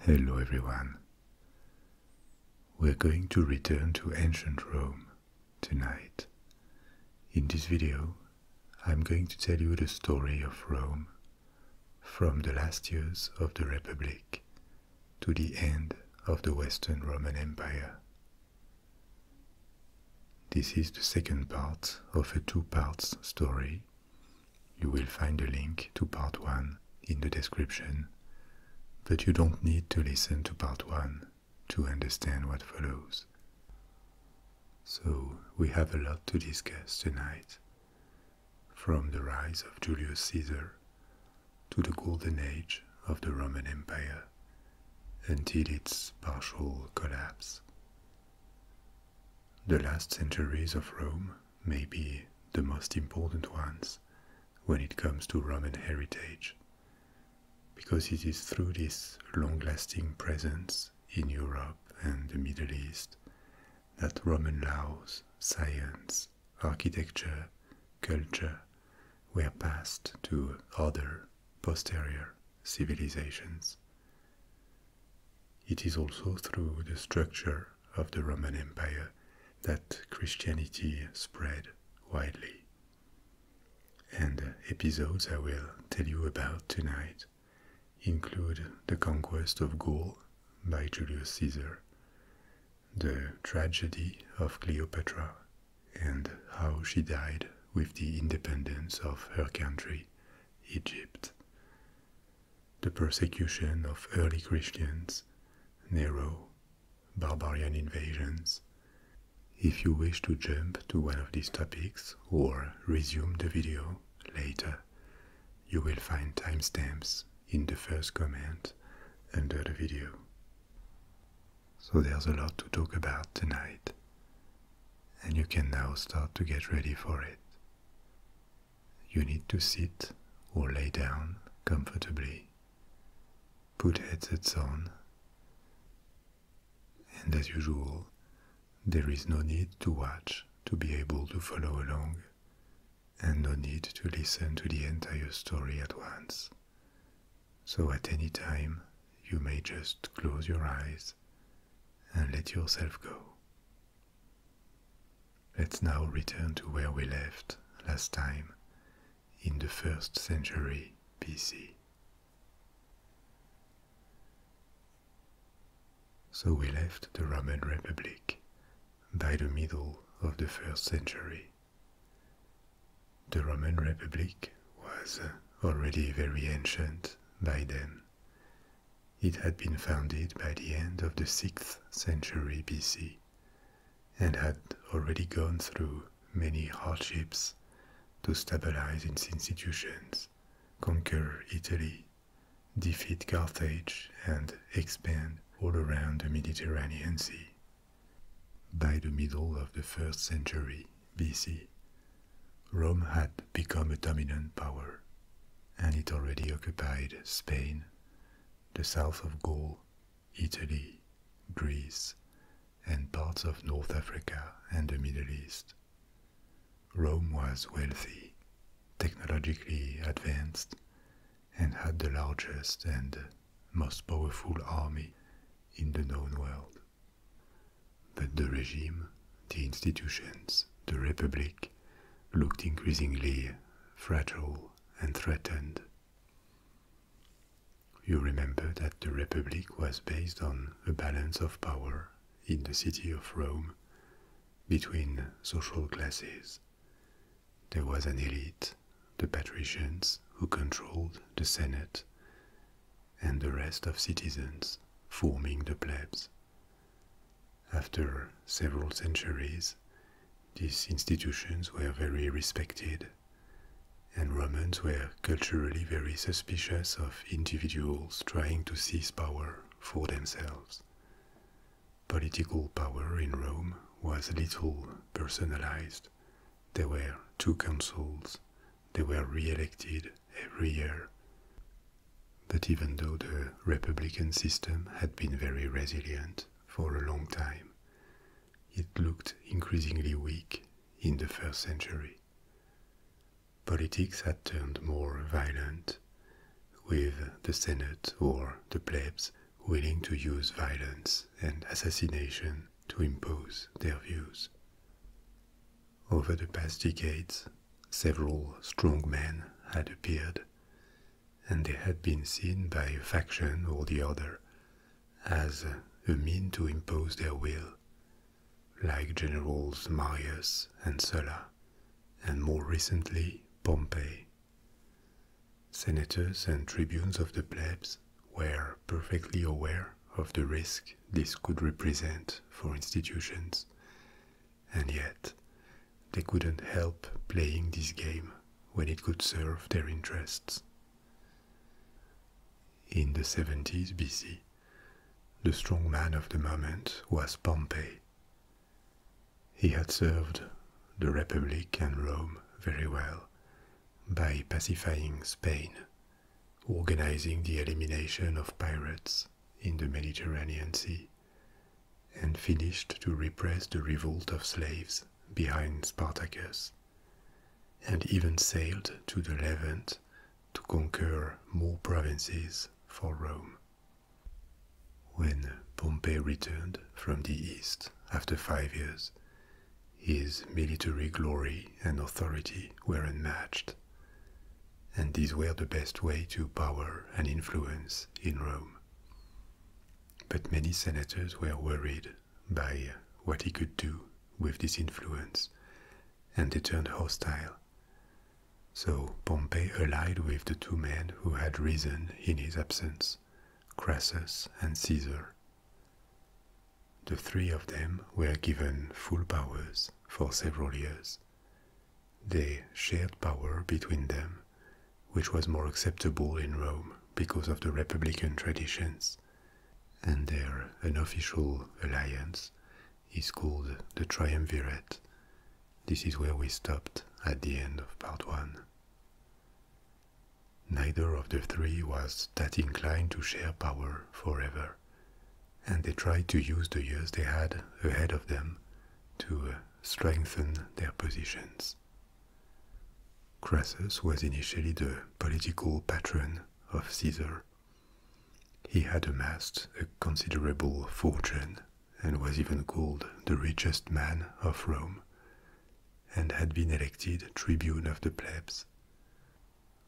Hello, everyone. We're going to return to ancient Rome tonight. In this video, I'm going to tell you the story of Rome from the last years of the Republic to the end of the Western Roman Empire. This is the second part of a two-part story you will find a link to part 1 in the description, but you don't need to listen to part 1 to understand what follows. So, we have a lot to discuss tonight. From the rise of Julius Caesar to the golden age of the Roman Empire until its partial collapse. The last centuries of Rome may be the most important ones when it comes to Roman heritage, because it is through this long lasting presence in Europe and the Middle East that Roman laws, science, architecture, culture were passed to other posterior civilizations. It is also through the structure of the Roman Empire that Christianity spread widely. And episodes I will tell you about tonight include the conquest of Gaul by Julius Caesar, the tragedy of Cleopatra, and how she died with the independence of her country, Egypt, the persecution of early Christians, Nero, barbarian invasions. If you wish to jump to one of these topics or resume the video later, you will find timestamps in the first comment under the video. So there's a lot to talk about tonight, and you can now start to get ready for it. You need to sit or lay down comfortably. Put headsets on. And as usual, there is no need to watch to be able to follow along, and no need to listen to the entire story at once. So at any time, you may just close your eyes and let yourself go. Let's now return to where we left last time in the first century BC. So we left the Roman Republic by the middle of the first century. The Roman Republic was uh, already very ancient by then, it had been founded by the end of the 6th century BC and had already gone through many hardships to stabilize its institutions, conquer Italy, defeat Carthage, and expand all around the Mediterranean Sea. By the middle of the 1st century BC, Rome had become a dominant power, and it already occupied Spain, the south of Gaul, Italy, Greece, and parts of North Africa and the Middle East. Rome was wealthy, technologically advanced, and had the largest and most powerful army in the known world. But the regime, the institutions, the republic looked increasingly fragile and threatened. You remember that the Republic was based on a balance of power in the city of Rome between social classes. There was an elite, the patricians, who controlled the Senate, and the rest of citizens forming the plebs, after several centuries, these institutions were very respected, and Romans were culturally very suspicious of individuals trying to seize power for themselves. Political power in Rome was little personalized. There were two consuls, they were re elected every year. But even though the republican system had been very resilient, for a long time, it looked increasingly weak in the first century. Politics had turned more violent, with the Senate or the plebs willing to use violence and assassination to impose their views. Over the past decades, several strong men had appeared, and they had been seen by a faction or the other as a mean to impose their will, like generals Marius and Sulla, and more recently Pompey. Senators and tribunes of the plebs were perfectly aware of the risk this could represent for institutions, and yet they couldn't help playing this game when it could serve their interests. In the 70s BC, the strong man of the moment was Pompey. He had served the Republic and Rome very well by pacifying Spain, organizing the elimination of pirates in the Mediterranean Sea, and finished to repress the revolt of slaves behind Spartacus, and even sailed to the Levant to conquer more provinces for Rome. When Pompey returned from the East after five years, his military glory and authority were unmatched, and these were the best way to power and influence in Rome. But many senators were worried by what he could do with this influence, and they turned hostile. So Pompey allied with the two men who had risen in his absence, Crassus and Caesar. The three of them were given full powers for several years. They shared power between them which was more acceptable in Rome because of the republican traditions, and their unofficial alliance is called the Triumvirate. This is where we stopped at the end of part one. Neither of the three was that inclined to share power forever, and they tried to use the years they had ahead of them to uh, strengthen their positions. Crassus was initially the political patron of Caesar. He had amassed a considerable fortune and was even called the richest man of Rome, and had been elected tribune of the plebs.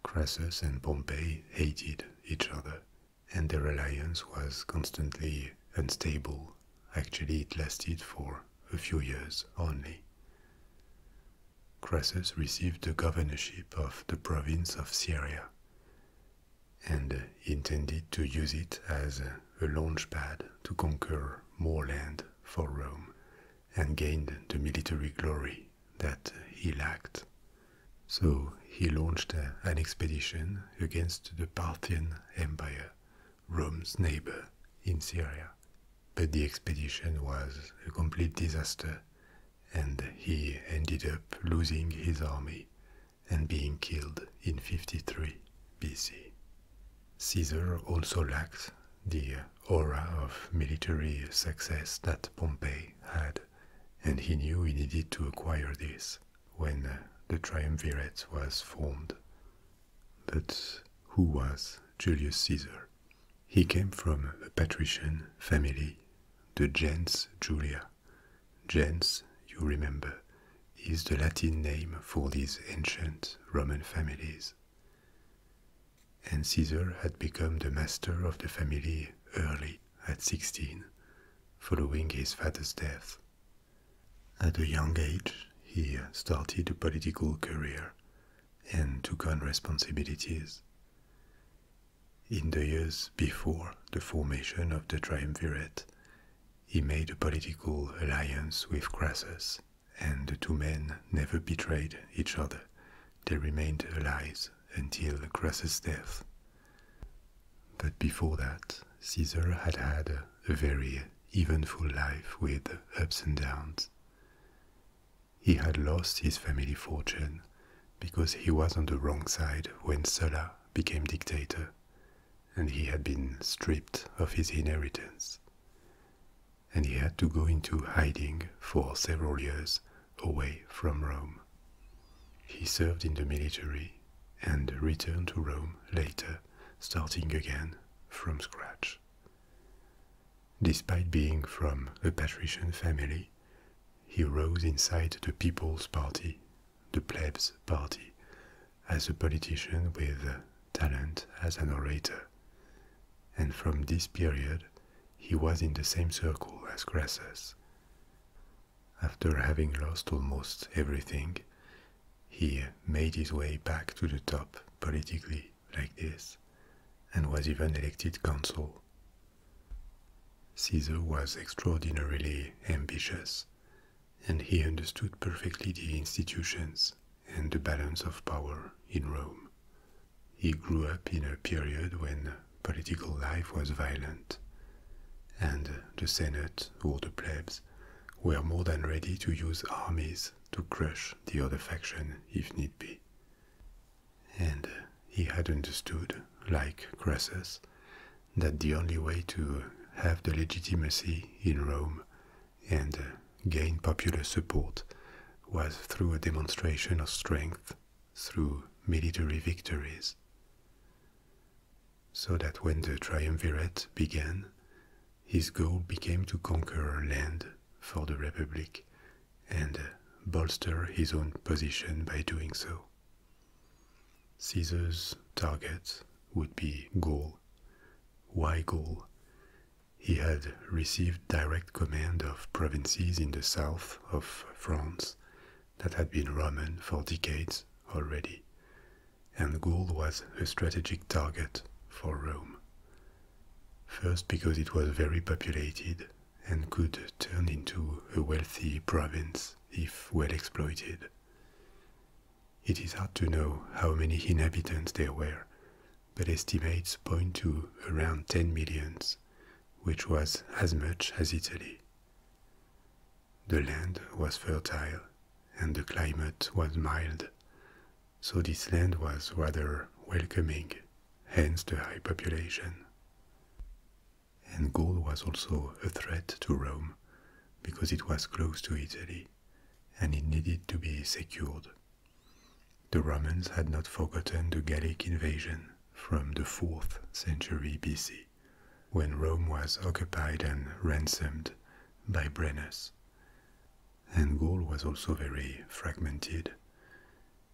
Crassus and Pompey hated each other, and their alliance was constantly unstable. Actually, it lasted for a few years only. Crassus received the governorship of the province of Syria and intended to use it as a launch pad to conquer more land for Rome and gain the military glory that he lacked. So he launched an expedition against the Parthian Empire Rome's neighbor in Syria. But the expedition was a complete disaster, and he ended up losing his army and being killed in 53 BC. Caesar also lacked the aura of military success that Pompey had, and he knew he needed to acquire this when the triumvirate was formed. But who was Julius Caesar? He came from a patrician family, the gens Julia. Gens, you remember, is the Latin name for these ancient Roman families. And Caesar had become the master of the family early, at 16, following his father's death. At a young age, he started a political career and took on responsibilities. In the years before the formation of the triumvirate, he made a political alliance with Crassus, and the two men never betrayed each other. They remained allies until Crassus' death. But before that, Caesar had had a very eventful life with ups and downs. He had lost his family fortune because he was on the wrong side when Sulla became dictator, and he had been stripped of his inheritance. And he had to go into hiding for several years away from Rome. He served in the military and returned to Rome later, starting again from scratch. Despite being from a patrician family, he rose inside the People's Party, the Plebs Party, as a politician with talent as an orator. And from this period, he was in the same circle as Crassus. After having lost almost everything, he made his way back to the top politically, like this, and was even elected consul. Caesar was extraordinarily ambitious, and he understood perfectly the institutions and the balance of power in Rome. He grew up in a period when political life was violent, and the Senate or the plebs were more than ready to use armies to crush the other faction if need be. And uh, he had understood, like Crassus, that the only way to have the legitimacy in Rome and uh, gain popular support was through a demonstration of strength through military victories. So that when the triumvirate began, his goal became to conquer land for the Republic and bolster his own position by doing so. Caesar's target would be Gaul. Why Gaul? He had received direct command of provinces in the south of France that had been Roman for decades already, and Gaul was a strategic target for Rome. First, because it was very populated and could turn into a wealthy province if well exploited. It is hard to know how many inhabitants there were, but estimates point to around 10 millions, which was as much as Italy. The land was fertile and the climate was mild, so this land was rather welcoming, hence the high population. And Gaul was also a threat to Rome because it was close to Italy and it needed to be secured. The Romans had not forgotten the Gallic invasion from the 4th century BC, when Rome was occupied and ransomed by Brennus and Gaul was also very fragmented.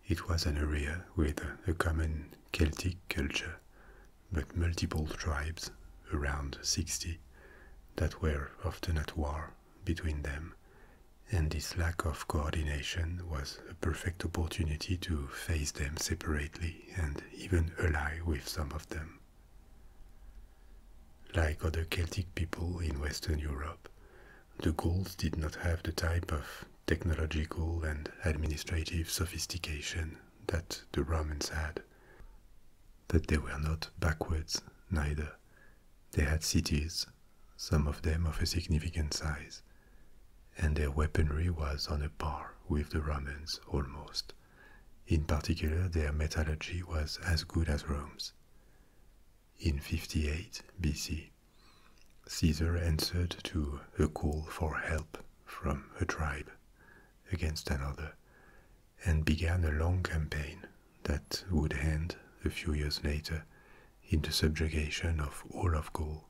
It was an area with a common Celtic culture, but multiple tribes, around 60, that were often at war between them, and this lack of coordination was a perfect opportunity to face them separately and even ally with some of them. Like other Celtic people in Western Europe, the Gauls did not have the type of technological and administrative sophistication that the Romans had. But they were not backwards, neither. They had cities, some of them of a significant size, and their weaponry was on a par with the Romans almost. In particular, their metallurgy was as good as Rome's. In 58 BC, Caesar answered to a call for help from a tribe against another and began a long campaign that would end a few years later in the subjugation of all of Gaul.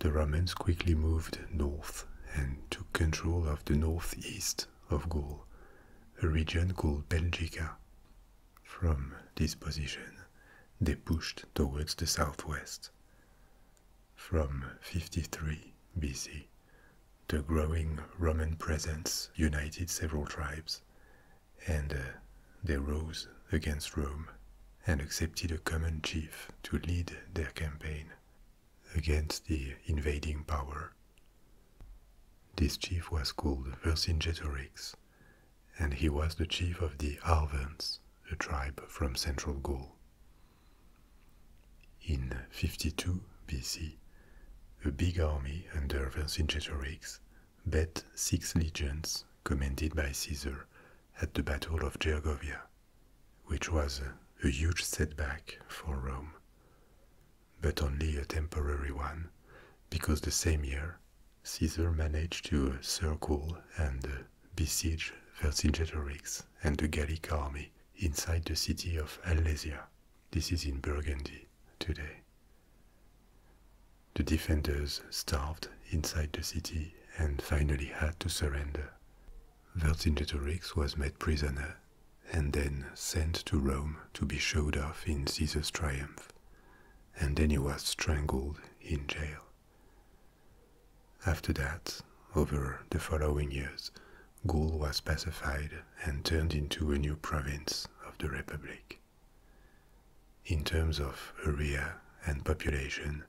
The Romans quickly moved north and took control of the northeast of Gaul, a region called Belgica. From this position, they pushed towards the southwest. From 53 BC, the growing Roman presence united several tribes, and uh, they rose against Rome and accepted a common chief to lead their campaign against the invading power. This chief was called Vercingetorix, and he was the chief of the Arvans, a tribe from central Gaul. In 52 BC, a big army under Vercingetorix bet six legions commanded by Caesar at the Battle of Gergovia, which was a huge setback for Rome but only a temporary one, because the same year Caesar managed to circle and besiege Vercingetorix and the Gallic army inside the city of Alesia. This is in Burgundy today. The defenders starved inside the city and finally had to surrender. Vercingetorix was made prisoner and then sent to Rome to be showed off in Caesar's triumph, and then he was strangled in jail. After that, over the following years, Gaul was pacified and turned into a new province of the Republic. In terms of area and population,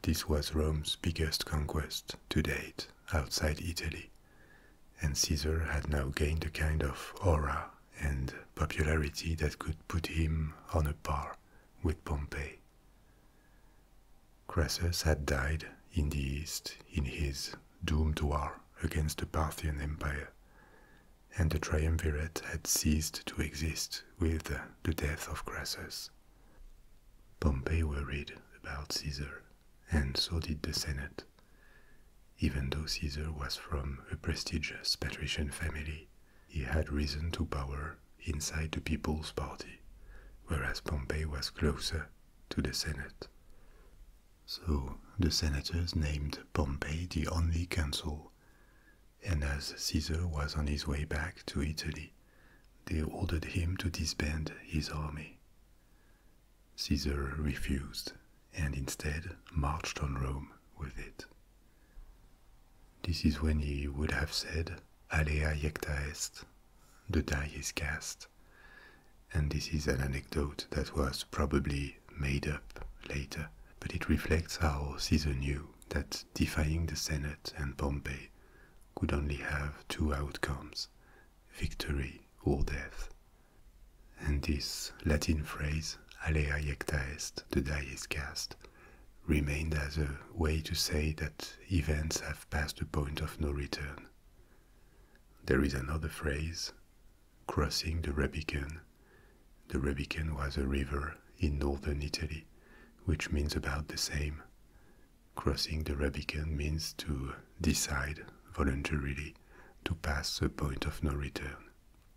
this was Rome's biggest conquest to date outside Italy, and Caesar had now gained a kind of aura and popularity that could put him on a par with Pompey. Crassus had died in the East in his doomed war against the Parthian Empire, and the triumvirate had ceased to exist with the death of Crassus. Pompey worried about Caesar, and so did the Senate. Even though Caesar was from a prestigious patrician family, he had risen to power inside the People's Party, whereas Pompey was closer to the Senate. So the senators named Pompey the only consul, and as Caesar was on his way back to Italy, they ordered him to disband his army Caesar refused and instead marched on Rome with it. This is when he would have said, Alea jecta est, the die is cast. And this is an anecdote that was probably made up later, but it reflects how Caesar knew that defying the Senate and Pompey could only have two outcomes victory or death, and this Latin phrase, alea iecta est, the die is cast, remained as a way to say that events have passed the point of no return. There is another phrase, crossing the Rubicon. The Rubicon was a river in northern Italy, which means about the same. Crossing the Rubicon means to decide voluntarily to pass the point of no return.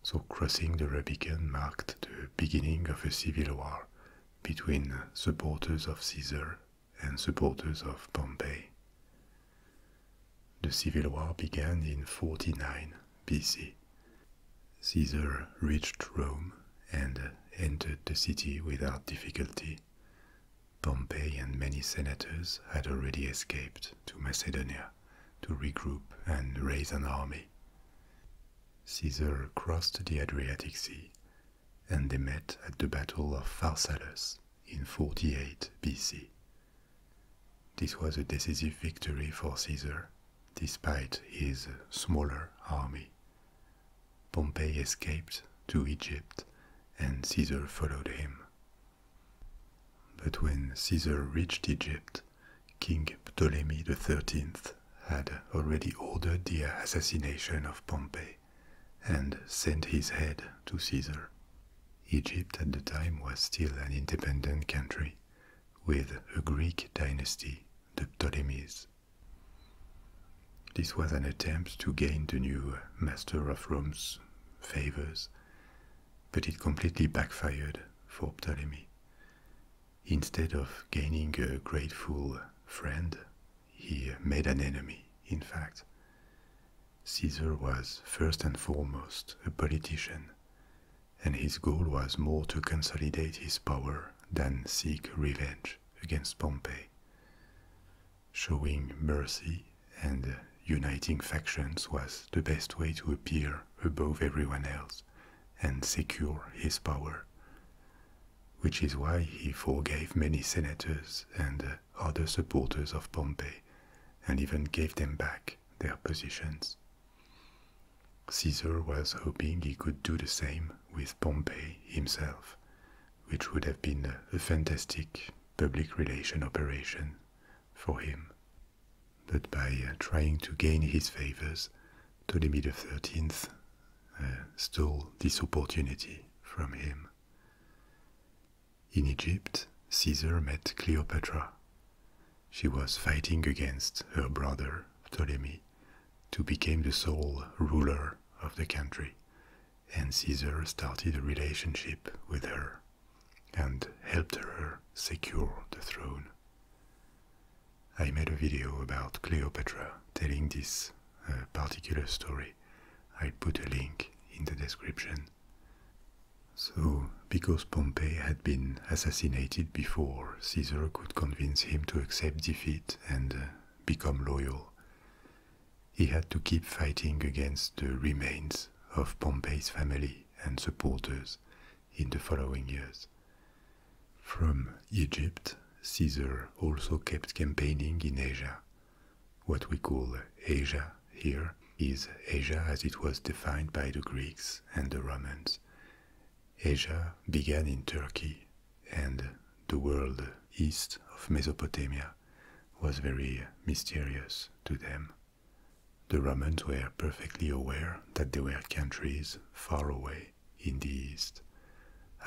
So crossing the Rubicon marked the beginning of a civil war between supporters of Caesar and supporters of Pompey. The civil war began in 49 BC. Caesar reached Rome and entered the city without difficulty. Pompey and many senators had already escaped to Macedonia to regroup and raise an army. Caesar crossed the Adriatic Sea and they met at the Battle of Pharsalus in 48 BC. This was a decisive victory for Caesar, despite his smaller army. Pompey escaped to Egypt and Caesar followed him, but when Caesar reached Egypt, King Ptolemy XIII had already ordered the assassination of Pompey and sent his head to Caesar. Egypt at the time was still an independent country with a Greek dynasty, the Ptolemies. This was an attempt to gain the new master of Rome's favors but it completely backfired for Ptolemy. Instead of gaining a grateful friend, he made an enemy, in fact. Caesar was first and foremost a politician, and his goal was more to consolidate his power than seek revenge against Pompey. Showing mercy and uniting factions was the best way to appear above everyone else and secure his power, which is why he forgave many senators and other supporters of Pompey and even gave them back their positions. Caesar was hoping he could do the same with Pompey himself, which would have been a fantastic public relation operation for him but by uh, trying to gain his favors, Ptolemy XIII uh, stole this opportunity from him. In Egypt, Caesar met Cleopatra. She was fighting against her brother Ptolemy to become the sole ruler of the country, and Caesar started a relationship with her and helped her secure the throne. I made a video about Cleopatra telling this uh, particular story. i put a link in the description. So, because Pompey had been assassinated before, Caesar could convince him to accept defeat and uh, become loyal. He had to keep fighting against the remains of Pompey's family and supporters in the following years. From Egypt, Caesar also kept campaigning in Asia. What we call Asia here is Asia as it was defined by the Greeks and the Romans. Asia began in Turkey, and the world east of Mesopotamia was very mysterious to them. The Romans were perfectly aware that they were countries far away in the east.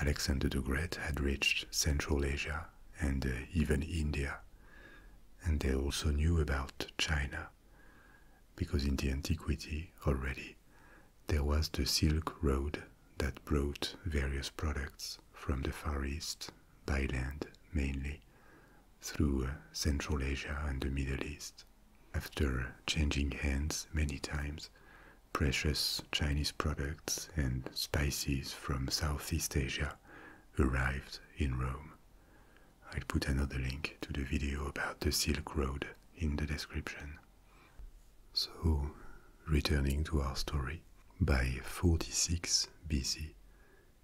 Alexander the Great had reached Central Asia and uh, even India, and they also knew about China, because in the antiquity already there was the Silk Road that brought various products from the Far East by land mainly through Central Asia and the Middle East. After changing hands many times, precious Chinese products and spices from Southeast Asia arrived in Rome. I'll put another link to the video about the Silk Road in the description. So, returning to our story, by 46 BC,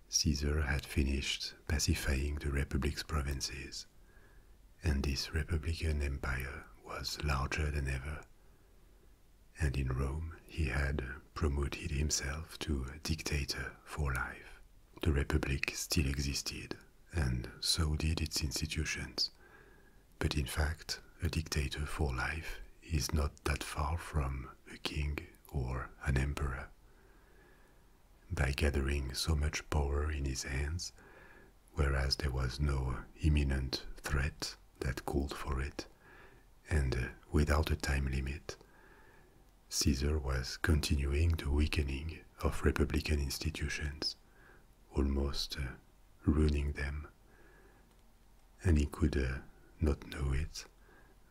Caesar had finished pacifying the Republic's provinces, and this Republican empire was larger than ever. And in Rome, he had promoted himself to dictator for life. The Republic still existed, and so did its institutions. But in fact, a dictator for life is not that far from a king or an emperor by gathering so much power in his hands, whereas there was no imminent threat that called for it, and uh, without a time limit. Caesar was continuing the weakening of republican institutions, almost uh, ruining them. And he could uh, not know it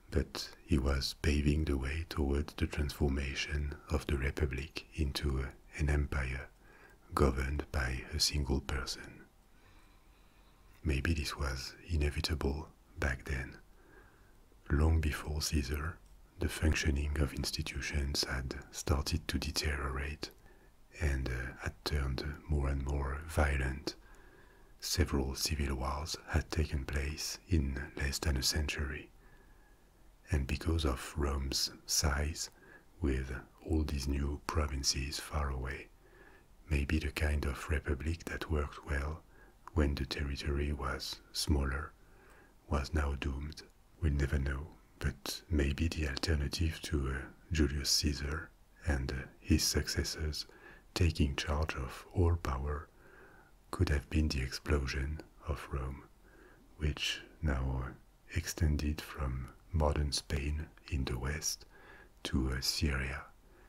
but he was paving the way towards the transformation of the Republic into an empire governed by a single person. Maybe this was inevitable back then. Long before Caesar, the functioning of institutions had started to deteriorate and uh, had turned more and more violent. Several civil wars had taken place in less than a century. And because of Rome's size, with all these new provinces far away, maybe the kind of republic that worked well when the territory was smaller, was now doomed. We'll never know, but maybe the alternative to uh, Julius Caesar and uh, his successors taking charge of all power could have been the explosion of Rome, which now extended from modern Spain in the west to uh, Syria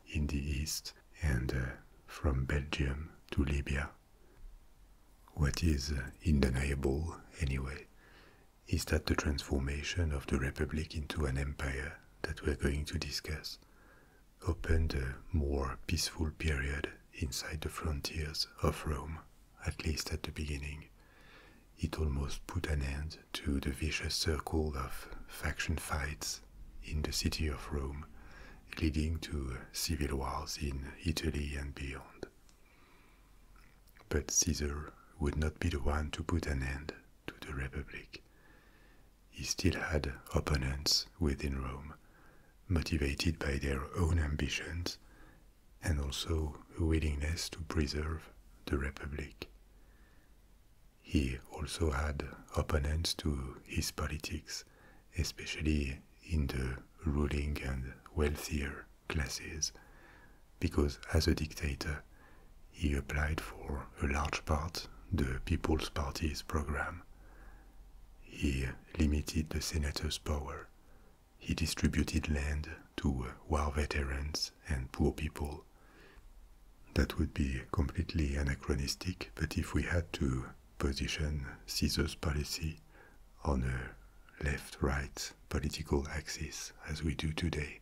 in the east and uh, from Belgium to Libya. What is uh, undeniable, anyway, is that the transformation of the Republic into an empire that we're going to discuss opened a more peaceful period inside the frontiers of Rome, at least at the beginning. It almost put an end to the vicious circle of faction fights in the city of Rome, leading to civil wars in Italy and beyond. But Caesar would not be the one to put an end to the Republic. He still had opponents within Rome, motivated by their own ambitions and also a willingness to preserve the Republic. He also had opponents to his politics, especially in the ruling and wealthier classes, because as a dictator, he applied for a large part the People's Party's program. He limited the senator's power. He distributed land to uh, war veterans and poor people. That would be completely anachronistic, but if we had to position Caesar's policy on a left right political axis as we do today,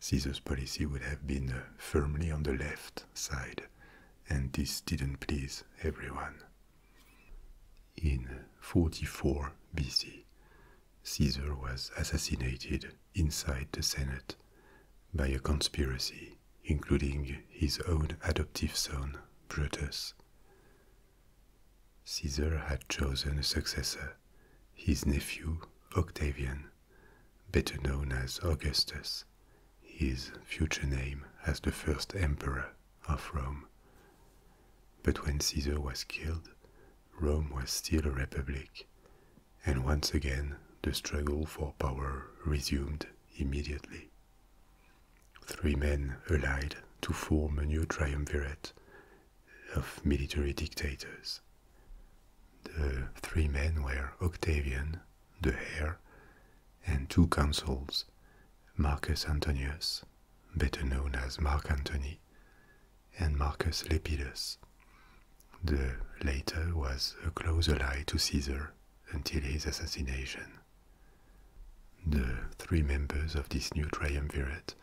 Caesar's policy would have been uh, firmly on the left side, and this didn't please everyone. In 44 BC, Caesar was assassinated inside the Senate by a conspiracy including his own adoptive son, Brutus. Caesar had chosen a successor, his nephew Octavian, better known as Augustus, his future name as the first emperor of Rome. But when Caesar was killed, Rome was still a republic, and once again the struggle for power resumed immediately. Three men allied to form a new triumvirate of military dictators. The three men were Octavian, the heir, and two consuls, Marcus Antonius, better known as Mark Antony, and Marcus Lepidus. The latter was a close ally to Caesar until his assassination. The three members of this new triumvirate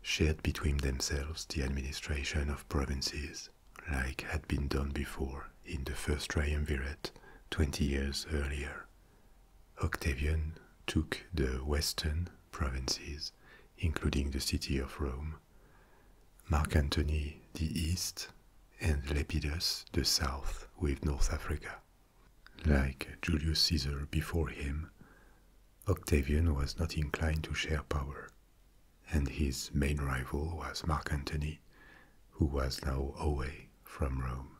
shared between themselves the administration of provinces, like had been done before in the first triumvirate 20 years earlier. Octavian took the western provinces, including the city of Rome, Mark Antony the east, and Lepidus the south with North Africa. Like Julius Caesar before him, Octavian was not inclined to share power, and his main rival was Mark Antony, who was now away from Rome.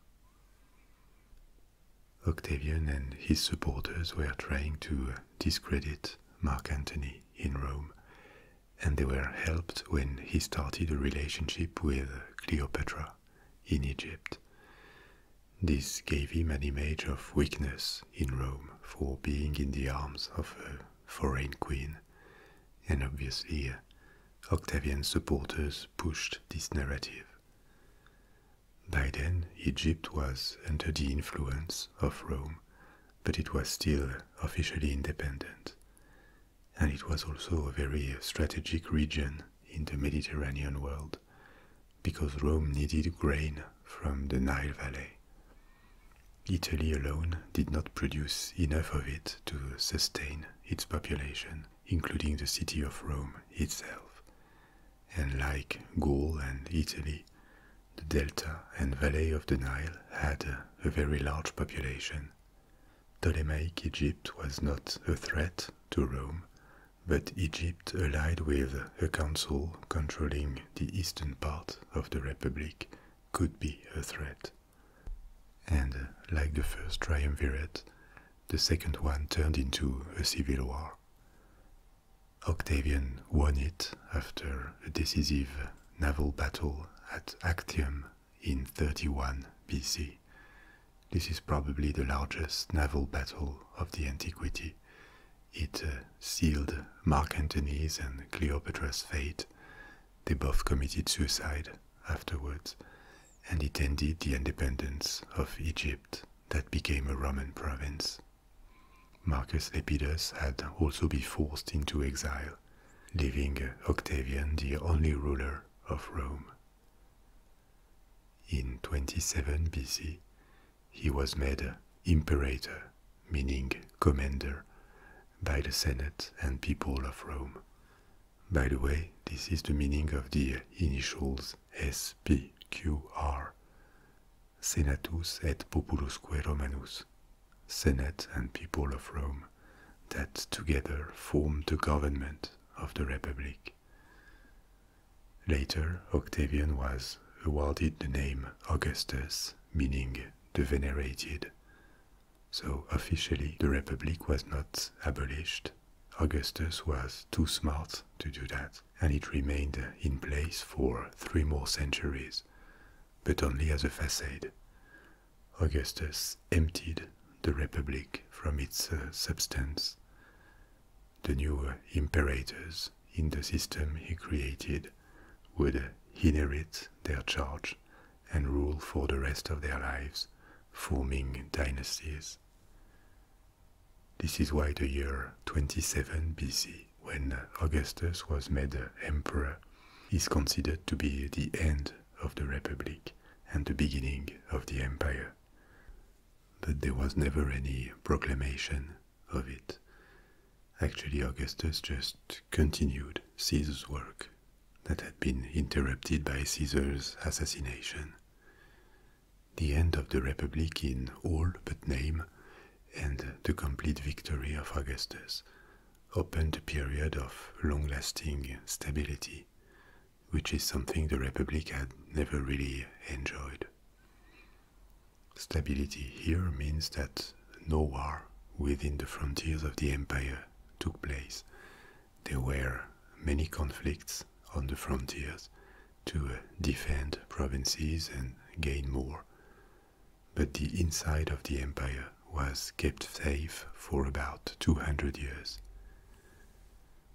Octavian and his supporters were trying to discredit Mark Antony in Rome, and they were helped when he started a relationship with Cleopatra in Egypt. This gave him an image of weakness in Rome for being in the arms of a foreign queen, and obviously Octavian's supporters pushed this narrative. By then, Egypt was under the influence of Rome, but it was still officially independent. And it was also a very strategic region in the Mediterranean world, because Rome needed grain from the Nile Valley. Italy alone did not produce enough of it to sustain its population including the city of Rome itself. And like Gaul and Italy, the delta and valley of the Nile had a very large population. Ptolemaic Egypt was not a threat to Rome, but Egypt allied with a council controlling the eastern part of the Republic could be a threat. And uh, like the first triumvirate, the second one turned into a civil war. Octavian won it after a decisive naval battle at Actium in 31 BC. This is probably the largest naval battle of the antiquity. It uh, sealed Mark Antony's and Cleopatra's fate. They both committed suicide afterwards, and it ended the independence of Egypt that became a Roman province. Marcus Lepidus had also been forced into exile, leaving Octavian the only ruler of Rome. In 27 BC, he was made imperator, meaning commander, by the Senate and people of Rome, by the way, this is the meaning of the initials SPQR Senatus et Populusque Romanus, Senate and People of Rome, that together formed the government of the Republic. Later, Octavian was awarded the name Augustus, meaning the venerated. So officially, the Republic was not abolished, Augustus was too smart to do that, and it remained in place for three more centuries, but only as a facade. Augustus emptied the Republic from its uh, substance. The new imperators in the system he created would inherit their charge and rule for the rest of their lives, forming dynasties. This is why the year 27 BC, when Augustus was made emperor, is considered to be the end of the Republic and the beginning of the empire. But there was never any proclamation of it. Actually, Augustus just continued Caesar's work that had been interrupted by Caesar's assassination the end of the Republic in all but name, and the complete victory of Augustus opened a period of long lasting stability, which is something the Republic had never really enjoyed. Stability here means that no war within the frontiers of the empire took place, there were many conflicts on the frontiers to uh, defend provinces and gain more. But the inside of the empire was kept safe for about 200 years.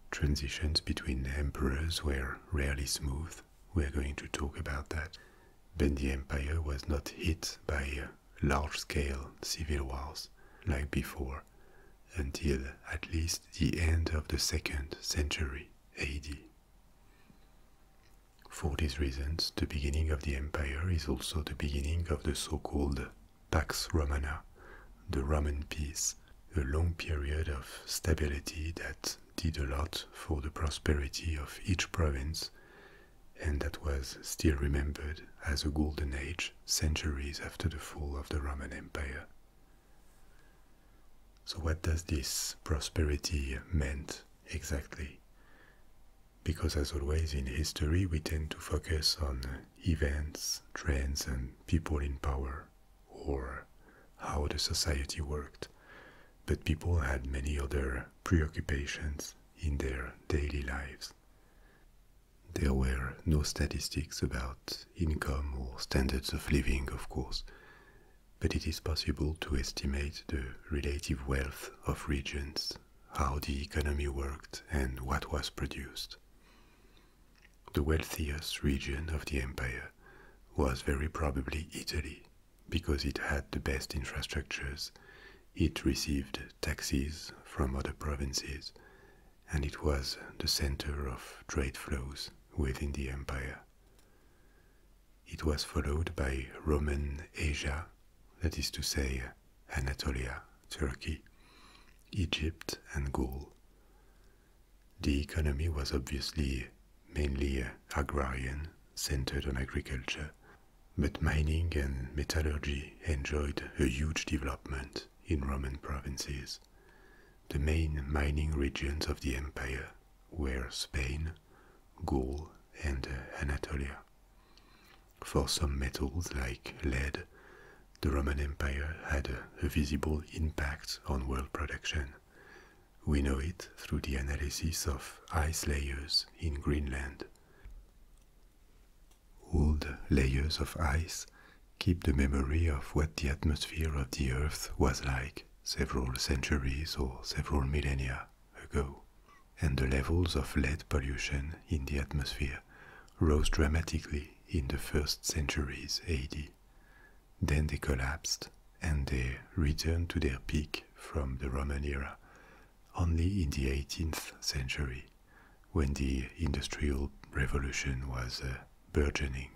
Transitions between emperors were rarely smooth. We're going to talk about that. But the empire was not hit by uh, large scale civil wars like before, until at least the end of the second century AD. For these reasons, the beginning of the empire is also the beginning of the so called Pax Romana, the Roman peace, a long period of stability that did a lot for the prosperity of each province and that was still remembered as a golden age centuries after the fall of the Roman Empire. So what does this prosperity meant exactly? Because as always in history we tend to focus on events, trends and people in power or how the society worked. But people had many other preoccupations in their daily lives. There were no statistics about income or standards of living, of course, but it is possible to estimate the relative wealth of regions, how the economy worked, and what was produced. The wealthiest region of the empire was very probably Italy, because it had the best infrastructures, it received taxes from other provinces, and it was the center of trade flows within the empire. It was followed by Roman Asia, that is to say, Anatolia, Turkey, Egypt, and Gaul. The economy was obviously mainly agrarian, centered on agriculture, but mining and metallurgy enjoyed a huge development in Roman provinces. The main mining regions of the empire were Spain, Gaul, and Anatolia. For some metals like lead, the Roman Empire had a, visible impact on world production. We know it through the analysis of ice layers in Greenland. Old layers of ice keep the memory of what the atmosphere of the Earth was like several centuries or several millennia ago, and the levels of lead pollution in the atmosphere rose dramatically in the first centuries AD. Then they collapsed and they returned to their peak from the Roman era only in the 18th century when the Industrial Revolution was uh, burgeoning.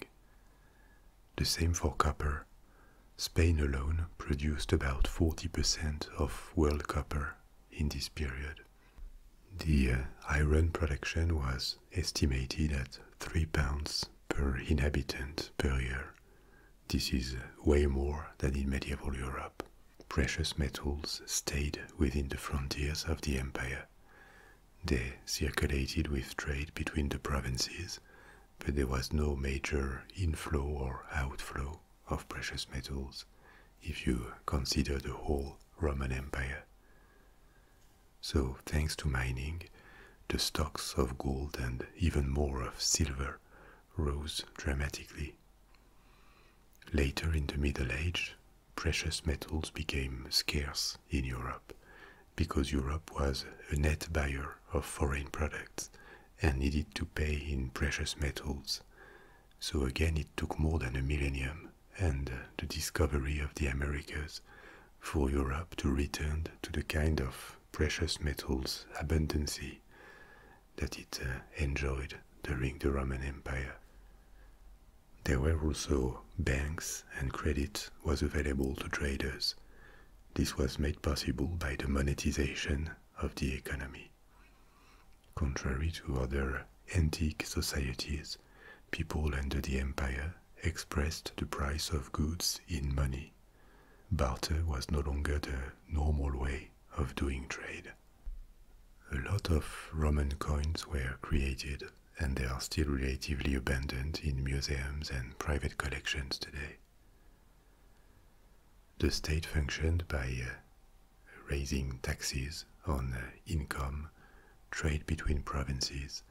The same for copper. Spain alone produced about 40% of world copper in this period. The uh, iron production was estimated at 3 pounds per inhabitant per year. This is way more than in medieval Europe. Precious metals stayed within the frontiers of the empire, they circulated with trade between the provinces, but there was no major inflow or outflow of precious metals if you consider the whole Roman Empire. So, thanks to mining, the stocks of gold and even more of silver rose dramatically. Later in the Middle Age, precious metals became scarce in Europe because Europe was a net buyer of foreign products and needed to pay in precious metals. So again, it took more than a millennium and uh, the discovery of the Americas for Europe to return to the kind of precious metals abundance that it uh, enjoyed during the Roman Empire. There were also banks and credit was available to traders. This was made possible by the monetization of the economy. Contrary to other antique societies, people under the empire expressed the price of goods in money. Barter was no longer the normal way of doing trade. A lot of Roman coins were created and they are still relatively abundant in museums and private collections today. The state functioned by uh, raising taxes on uh, income, trade between provinces,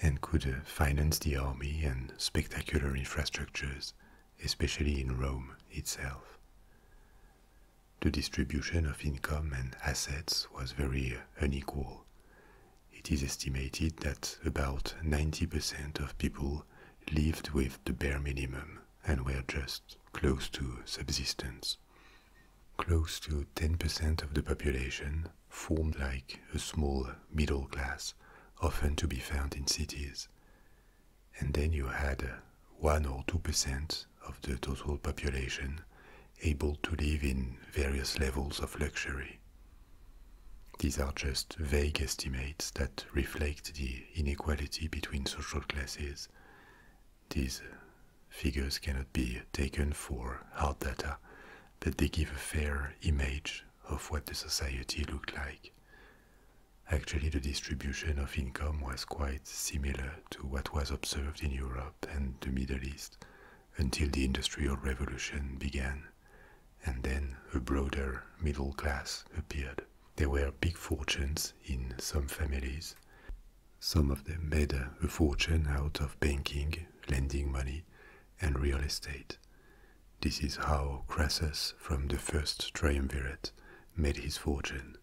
and could uh, finance the army and spectacular infrastructures, especially in Rome itself. The distribution of income and assets was very unequal, it is estimated that about 90% of people lived with the bare minimum and were just close to subsistence. Close to 10% of the population formed like a small middle class, often to be found in cities. And then you had 1 or 2% of the total population able to live in various levels of luxury. These are just vague estimates that reflect the inequality between social classes. These figures cannot be taken for hard data, but they give a fair image of what the society looked like. Actually, the distribution of income was quite similar to what was observed in Europe and the Middle East until the Industrial Revolution began, and then a broader middle class appeared. There were big fortunes in some families. Some of them made a fortune out of banking, lending money, and real estate. This is how Crassus from the first triumvirate made his fortune.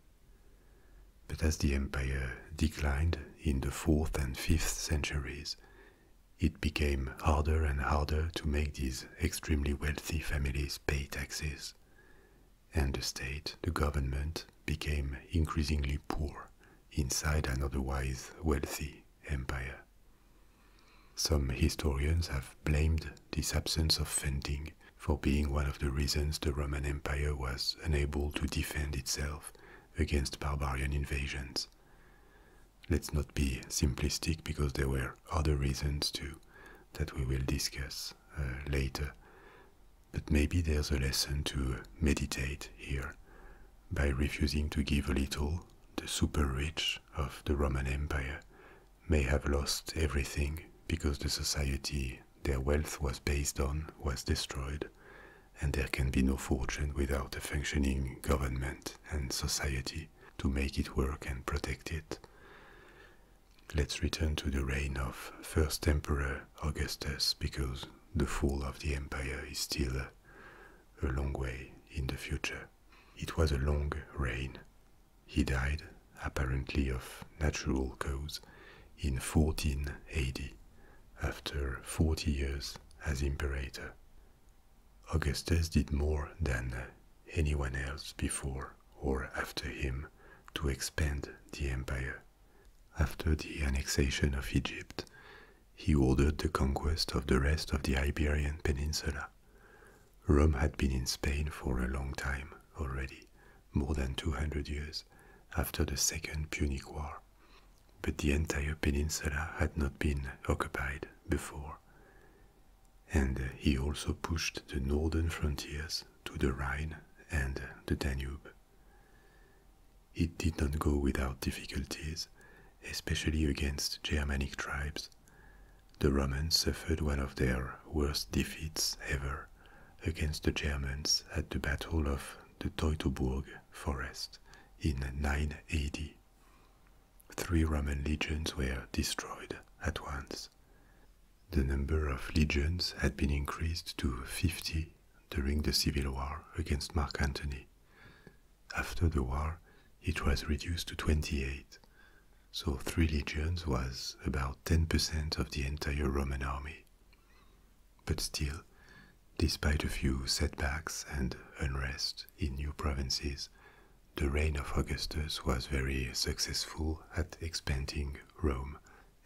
But as the empire declined in the 4th and 5th centuries, it became harder and harder to make these extremely wealthy families pay taxes. And the state, the government, became increasingly poor inside an otherwise wealthy empire. Some historians have blamed this absence of funding for being one of the reasons the Roman Empire was unable to defend itself against barbarian invasions. Let's not be simplistic because there were other reasons too that we will discuss uh, later. But maybe there's a lesson to meditate here by refusing to give a little. The super rich of the Roman Empire may have lost everything because the society their wealth was based on was destroyed, and there can be no fortune without a functioning government and society to make it work and protect it. Let's return to the reign of first emperor Augustus because the fall of the empire is still a, long way in the future. It was a long reign. He died, apparently of natural cause, in 1480 after 40 years as imperator. Augustus did more than anyone else before or after him to expand the empire. After the annexation of Egypt, he ordered the conquest of the rest of the Iberian Peninsula. Rome had been in Spain for a long time already, more than 200 years after the Second Punic War, but the entire peninsula had not been occupied before. And he also pushed the northern frontiers to the Rhine and the Danube. It did not go without difficulties, especially against Germanic tribes. The Romans suffered one of their worst defeats ever against the Germans at the Battle of the Teutoburg forest in 980. Three Roman legions were destroyed at once. The number of legions had been increased to 50 during the civil war against Mark Antony. After the war, it was reduced to 28, so three legions was about 10% of the entire Roman army. But still, Despite a few setbacks and unrest in new provinces, the reign of Augustus was very successful at expanding Rome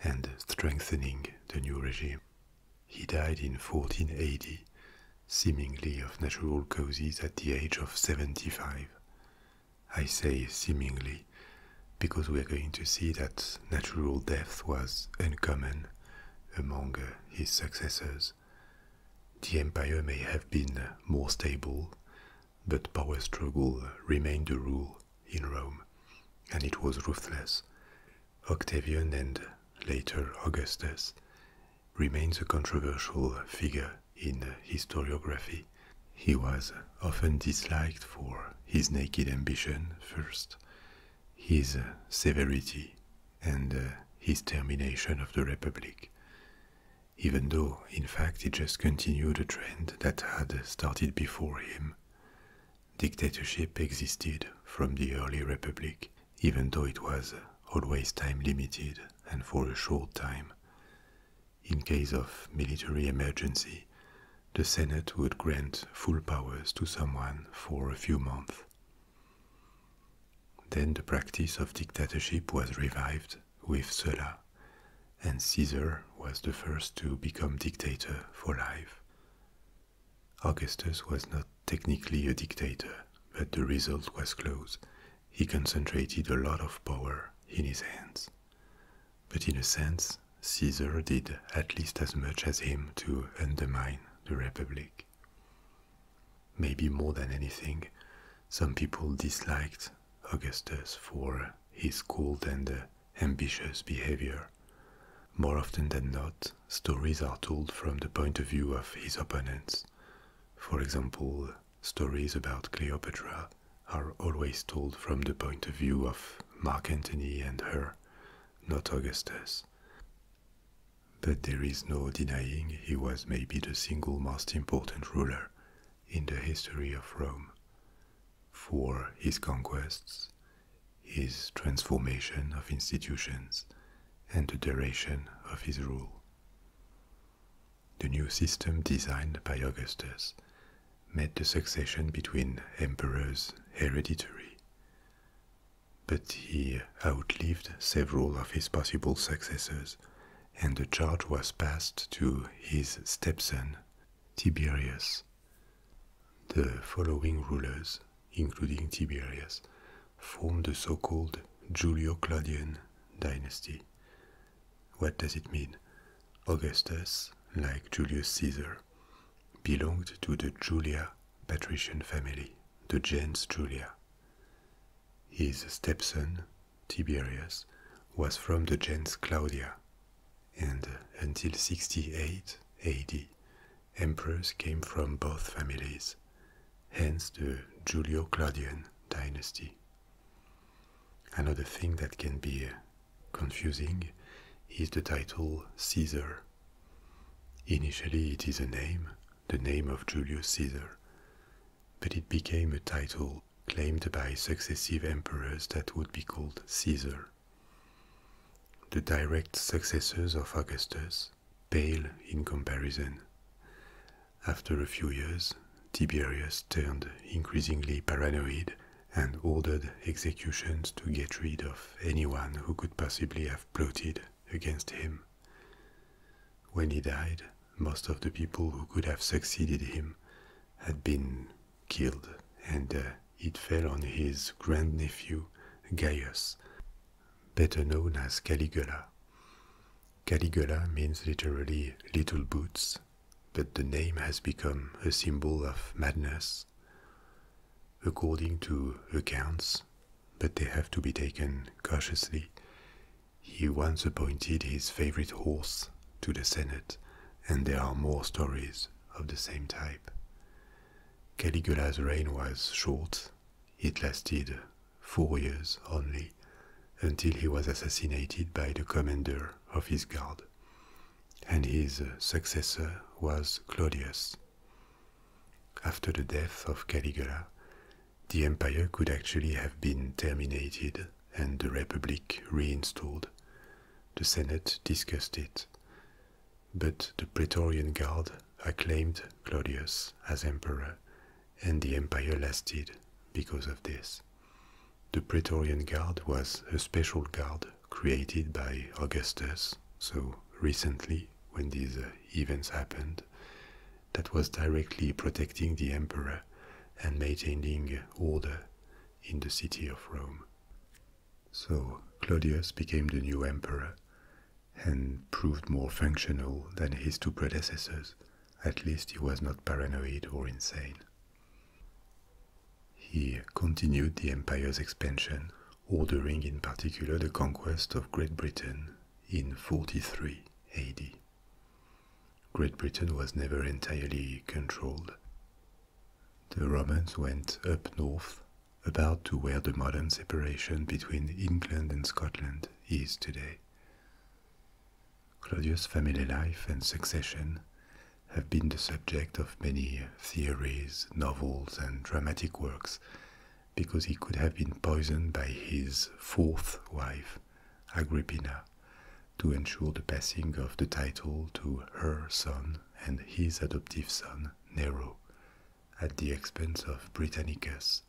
and strengthening the new regime. He died in 1480, seemingly of natural causes at the age of 75. I say seemingly because we're going to see that natural death was uncommon among his successors. The empire may have been more stable, but power struggle remained the rule in Rome, and it was ruthless. Octavian and later Augustus remains a controversial figure in historiography. He was often disliked for his naked ambition first, his severity and uh, his termination of the Republic, even though, in fact, he just continued a trend that had started before him. Dictatorship existed from the early Republic, even though it was always time limited and for a short time. In case of military emergency, the Senate would grant full powers to someone for a few months. Then the practice of dictatorship was revived with Sulla, and Caesar was the first to become dictator for life. Augustus was not technically a dictator, but the result was close. He concentrated a lot of power in his hands. But in a sense, Caesar did at least as much as him to undermine the Republic. Maybe more than anything, some people disliked Augustus for his cold and ambitious behavior. More often than not, stories are told from the point of view of his opponents. For example, stories about Cleopatra are always told from the point of view of Mark Antony and her, not Augustus but there is no denying he was maybe the single most important ruler in the history of Rome for his conquests, his transformation of institutions, and the duration of his rule. The new system designed by Augustus met the succession between emperors hereditary but he outlived several of his possible successors, and the charge was passed to his stepson, Tiberius. The following rulers, including Tiberius, formed the so called Julio Claudian dynasty. What does it mean? Augustus, like Julius Caesar, belonged to the Julia patrician family, the gens Julia. His stepson, Tiberius, was from the gens Claudia, and until 68 AD, emperors came from both families, hence the Julio Claudian dynasty. Another thing that can be confusing is the title Caesar. Initially, it is a name the name of Julius Caesar, but it became a title claimed by successive emperors that would be called Caesar. The direct successors of Augustus pale in comparison. After a few years, Tiberius turned increasingly paranoid and ordered executions to get rid of anyone who could possibly have plotted against him. When he died, most of the people who could have succeeded him had been killed, and uh, it fell on his grandnephew Gaius, better known as Caligula. Caligula means literally little boots, but the name has become a symbol of madness. According to accounts, but they have to be taken cautiously. He once appointed his favorite horse to the Senate, and there are more stories of the same type. Caligula's reign was short, it lasted four years only, until he was assassinated by the commander of his guard, and his successor was Claudius. After the death of Caligula, the empire could actually have been terminated and the Republic reinstalled. The Senate discussed it, but the Praetorian Guard acclaimed Claudius as emperor, and the empire lasted because of this. The Praetorian Guard was a special guard created by Augustus, so recently, when these events happened, that was directly protecting the emperor and maintaining order in the city of Rome. So Claudius became the new emperor and proved more functional than his two predecessors. At least he was not paranoid or insane. He continued the empire's expansion, ordering in particular the conquest of Great Britain in 43. AD. Great Britain was never entirely controlled. The Romans went up north, about to where the modern separation between England and Scotland is today. Claudius' family life and succession have been the subject of many theories, novels, and dramatic works because he could have been poisoned by his fourth wife, Agrippina, to ensure the passing of the title to her son and his adoptive son, Nero, at the expense of Britannicus,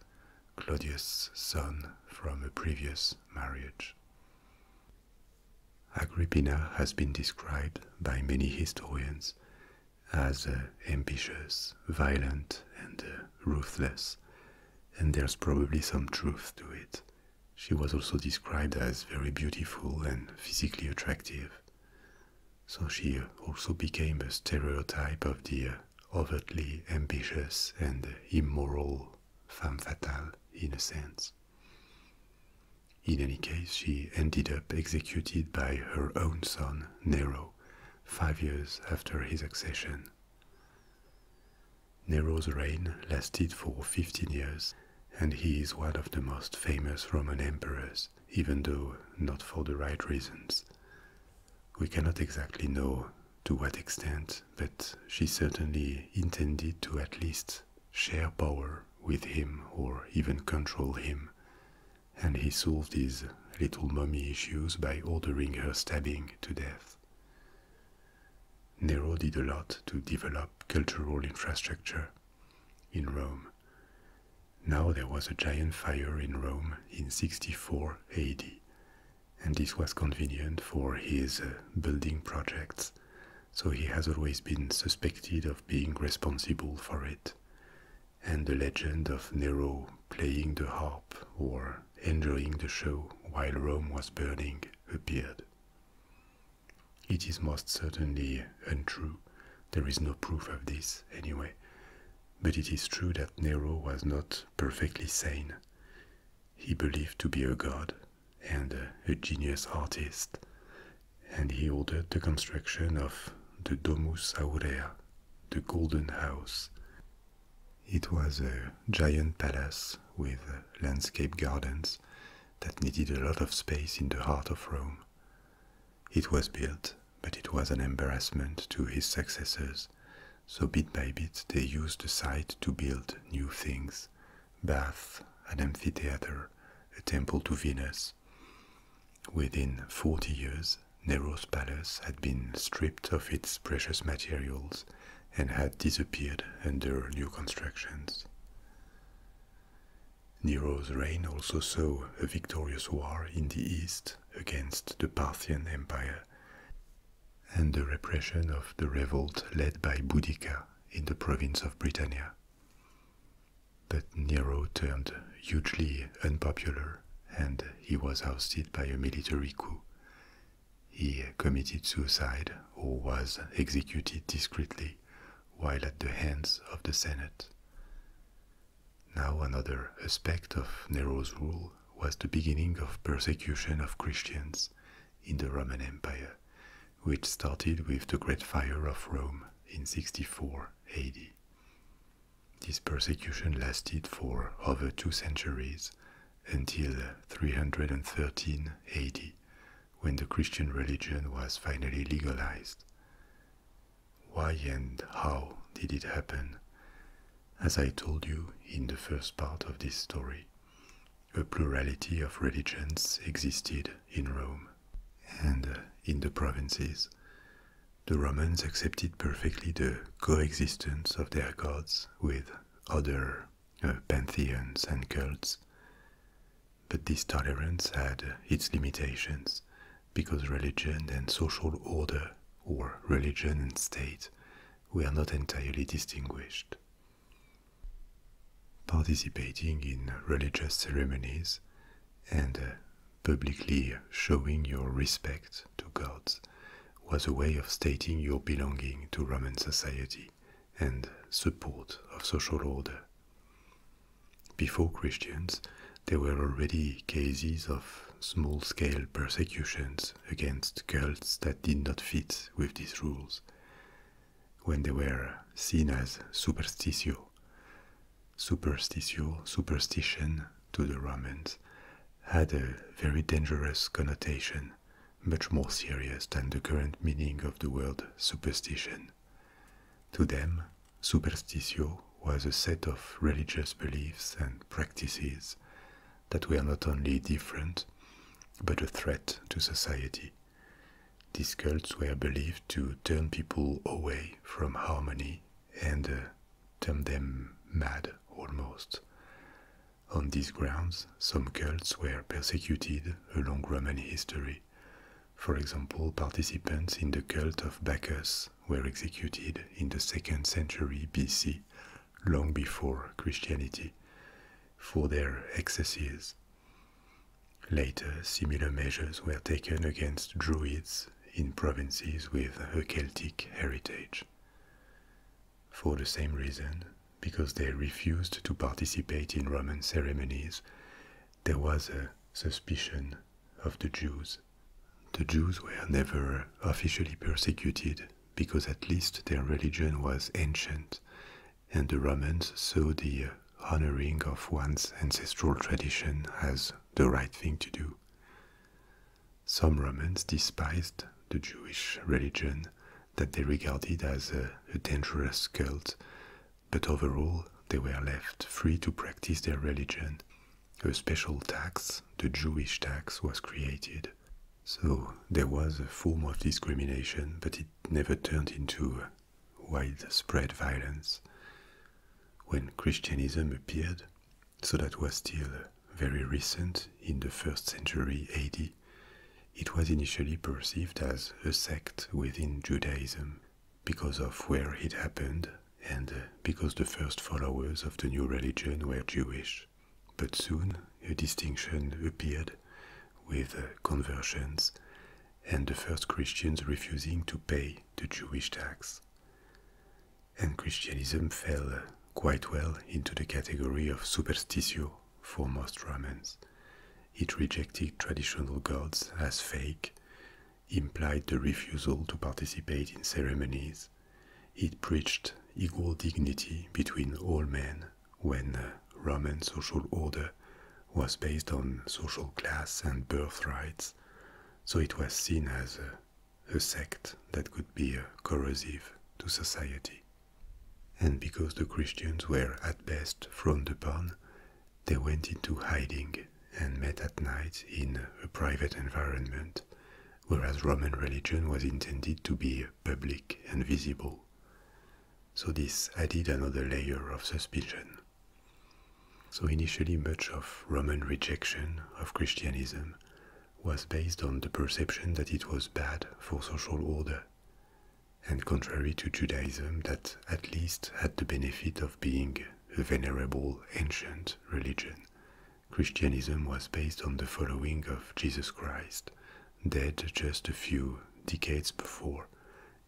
Claudius' son from a previous marriage. Agrippina has been described by many historians as uh, ambitious, violent, and uh, ruthless, and there's probably some truth to it. She was also described as very beautiful and physically attractive. So she also became a stereotype of the uh, overtly ambitious and immoral femme fatale, in a sense. In any case, she ended up executed by her own son, Nero, five years after his accession Nero's reign lasted for 15 years, and he is one of the most famous Roman emperors, even though not for the right reasons. We cannot exactly know to what extent, but she certainly intended to at least share power with him or even control him, and he solved his little Mummy issues by ordering her stabbing to death. Nero did a lot to develop cultural infrastructure in Rome. Now there was a giant fire in Rome in 64 AD, and this was convenient for his uh, building projects, so he has always been suspected of being responsible for it. And the legend of Nero playing the harp or enjoying the show while Rome was burning appeared. It is most certainly untrue, there is no proof of this anyway, but it is true that Nero was not perfectly sane. He believed to be a god and a genius artist, and he ordered the construction of the Domus Aurea, the Golden House, it was a giant palace with landscape gardens that needed a lot of space in the heart of Rome. It was built, but it was an embarrassment to his successors, so bit by bit they used the site to build new things baths, an amphitheater, a temple to Venus. Within 40 years, Nero's palace had been stripped of its precious materials and had disappeared under new constructions. Nero's reign also saw a victorious war in the east against the Parthian Empire and the repression of the revolt led by Boudica in the province of Britannia. But Nero turned hugely unpopular and he was ousted by a military coup, he committed suicide or was executed discreetly while at the hands of the Senate. Now, another aspect of Nero's rule was the beginning of persecution of Christians in the Roman Empire, which started with the Great Fire of Rome in 64 AD. This persecution lasted for over two centuries until 313 AD, when the Christian religion was finally legalized. Why and how did it happen? As I told you in the first part of this story, a plurality of religions existed in Rome and uh, in the provinces. The Romans accepted perfectly the coexistence of their gods with other uh, pantheons and cults. But this tolerance had its limitations because religion and social order, or religion and state, were not entirely distinguished. Participating in religious ceremonies and uh, publicly showing your respect to gods was a way of stating your belonging to Roman society and support of social order. Before Christians, there were already cases of small scale persecutions against cults that did not fit with these rules, when they were seen as superstitio. Superstitio, superstition to the Romans, had a very dangerous connotation, much more serious than the current meaning of the word superstition. To them, superstitio was a set of religious beliefs and practices that were not only different, but a threat to society. These cults were believed to turn people away from harmony and uh, turn them mad almost. On these grounds, some cults were persecuted along Roman history. For example, participants in the cult of Bacchus were executed in the 2nd century BC, long before Christianity, for their excesses. Later, similar measures were taken against Druids in provinces with a Celtic heritage for the same reason, because they refused to participate in Roman ceremonies, there was a suspicion of the Jews. The Jews were never officially persecuted because at least their religion was ancient, and the Romans saw the honoring of one's ancestral tradition as the right thing to do. Some Romans despised the Jewish religion that they regarded as a, dangerous cult, but overall they were left free to practice their religion. A special tax, the Jewish tax, was created. So there was a form of discrimination, but it never turned into widespread violence. When Christianism appeared, so that was still very recent in the 1st century AD, it was initially perceived as a sect within Judaism because of where it happened and uh, because the first followers of the new religion were Jewish. But soon a distinction appeared with uh, conversions and the first Christians refusing to pay the Jewish tax. And Christianism fell uh, quite well into the category of superstitio for most Romans. It rejected traditional gods as fake, implied the refusal to participate in ceremonies, it preached equal dignity between all men when uh, Roman social order was based on social class and birth rights, so it was seen as uh, a sect that could be uh, corrosive to society and because the Christians were at best frowned upon, they went into hiding and met at night in a private environment, whereas Roman religion was intended to be public and visible. So this added another layer of suspicion. So initially much of Roman rejection of Christianism was based on the perception that it was bad for social order, and contrary to Judaism, that at least had the benefit of being a venerable ancient religion. Christianism was based on the following of Jesus Christ, dead just a few decades before,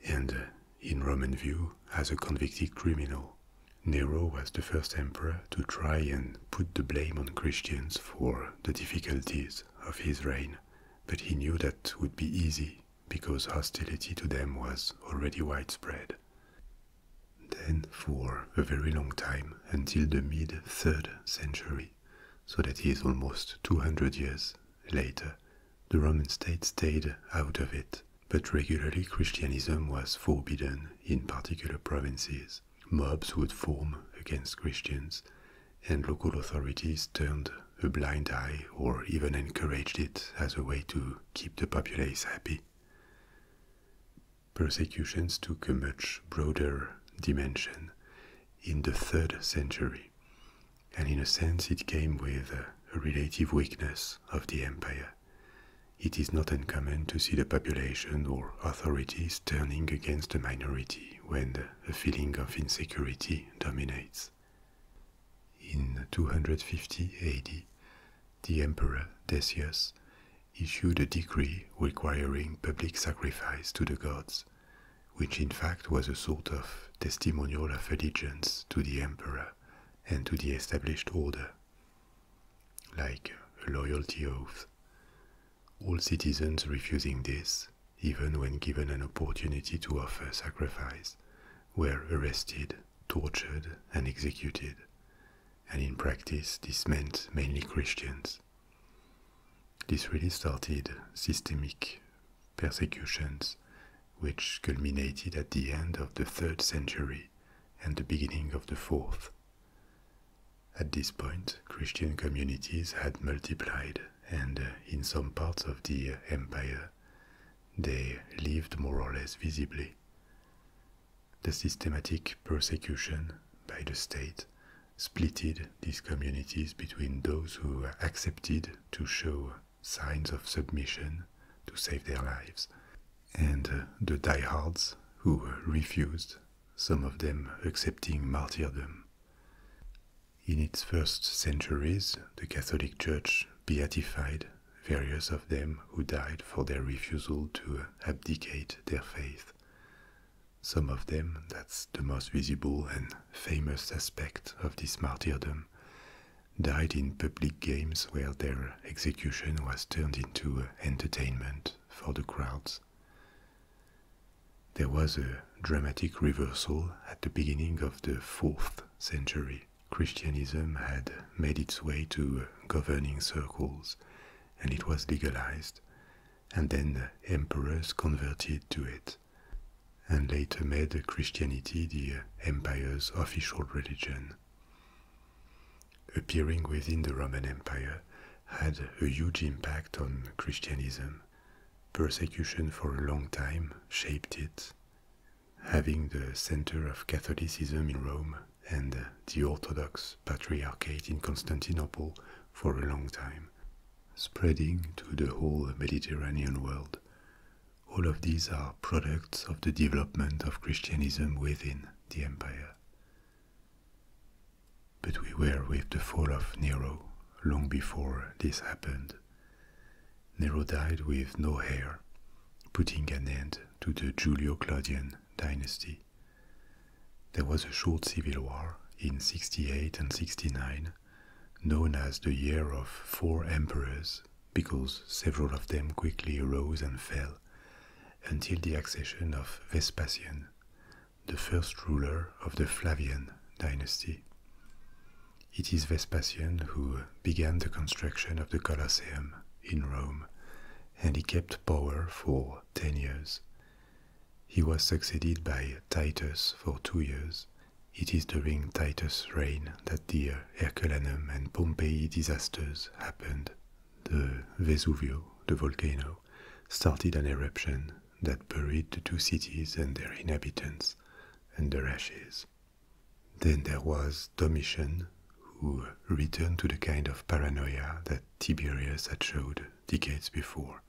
and in Roman view, as a convicted criminal. Nero was the first emperor to try and put the blame on Christians for the difficulties of his reign, but he knew that would be easy because hostility to them was already widespread. Then, for a very long time, until the mid third century, so that is almost 200 years later, the Roman state stayed out of it, but regularly Christianism was forbidden in particular provinces mobs would form against Christians, and local authorities turned a blind eye or even encouraged it as a way to keep the populace happy. Persecutions took a much broader dimension in the third century, and in a sense it came with a relative weakness of the empire. It is not uncommon to see the population or authorities turning against a minority when a feeling of insecurity dominates. In 250 AD, the emperor Decius issued a decree requiring public sacrifice to the gods, which in fact was a sort of testimonial of allegiance to the emperor and to the established order, like a loyalty oath all citizens refusing this, even when given an opportunity to offer sacrifice, were arrested, tortured, and executed. And in practice, this meant mainly Christians. This really started systematic persecutions, which culminated at the end of the third century and the beginning of the fourth. At this point, Christian communities had multiplied, and uh, in some parts of the uh, empire, they lived more or less visibly. The systematic persecution by the state splitted these communities between those who accepted to show signs of submission to save their lives, and uh, the diehards who refused, some of them accepting martyrdom. In its first centuries, the Catholic Church beatified various of them who died for their refusal to abdicate their faith. Some of them, that's the most visible and famous aspect of this martyrdom, died in public games where their execution was turned into entertainment for the crowds. There was a dramatic reversal at the beginning of the 4th century. Christianism had made its way to governing circles and it was legalized, and then the emperors converted to it and later made Christianity the empire's official religion. Appearing within the Roman Empire had a huge impact on Christianism Persecution for a long time shaped it, having the center of Catholicism in Rome and the Orthodox Patriarchate in Constantinople for a long time, spreading to the whole Mediterranean world. All of these are products of the development of Christianism within the empire. But we were with the fall of Nero long before this happened. Nero died with no heir, putting an end to the Julio Claudian dynasty. There was a short civil war in 68 and 69, known as the Year of Four Emperors, because several of them quickly rose and fell, until the accession of Vespasian, the first ruler of the Flavian dynasty. It is Vespasian who began the construction of the Colosseum in Rome, and he kept power for 10 years. He was succeeded by Titus for two years. It is during Titus' reign that the Herculaneum and Pompeii disasters happened. The Vesuvio, the volcano, started an eruption that buried the two cities and their inhabitants under ashes. Then there was Domitian, who returned to the kind of paranoia that Tiberius had showed decades before.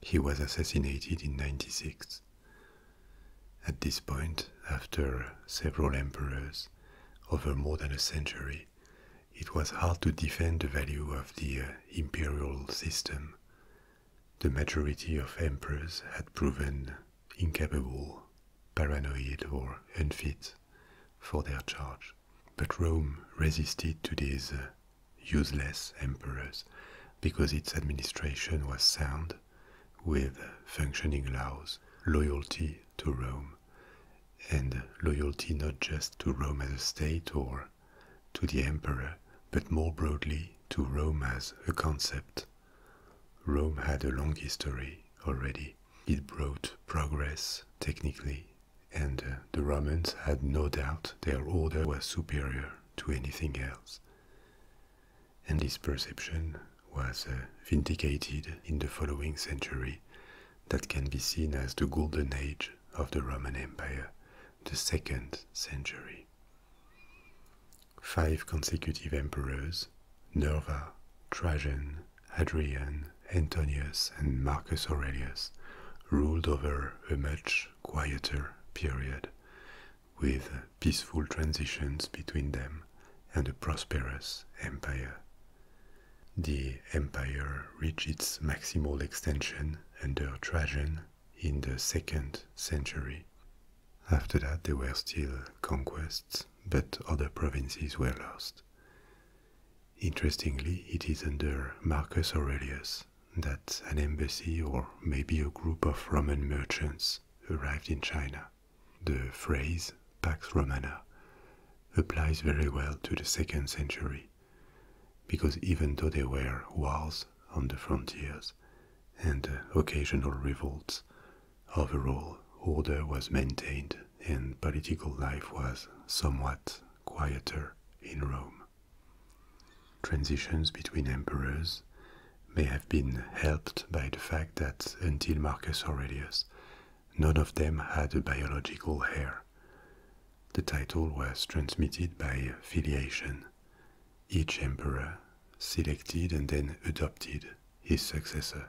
He was assassinated in 96. At this point, after several emperors, over more than a century, it was hard to defend the value of the uh, imperial system the majority of emperors had proven incapable, paranoid, or unfit for their charge. But Rome resisted to these uh, useless emperors because its administration was sound, with functioning laws, loyalty to Rome, and loyalty not just to Rome as a state or to the emperor, but more broadly to Rome as a concept. Rome had a long history already. It brought progress technically, and uh, the Romans had no doubt their order was superior to anything else. And this perception was uh, vindicated in the following century that can be seen as the golden age of the Roman Empire, the second century. Five consecutive emperors, Nerva, Trajan, Hadrian, Antonius, and Marcus Aurelius, ruled over a much quieter period, with peaceful transitions between them and a prosperous empire. The empire reached its maximal extension under Trajan in the second century. After that, there were still conquests, but other provinces were lost. Interestingly, it is under Marcus Aurelius that an embassy or maybe a group of Roman merchants arrived in China. The phrase Pax Romana applies very well to the second century because even though there were wars on the frontiers and occasional revolts, overall order was maintained and political life was somewhat quieter in Rome. Transitions between emperors may have been helped by the fact that until Marcus Aurelius, none of them had a biological heir the title was transmitted by filiation. Each emperor selected and then adopted his successor.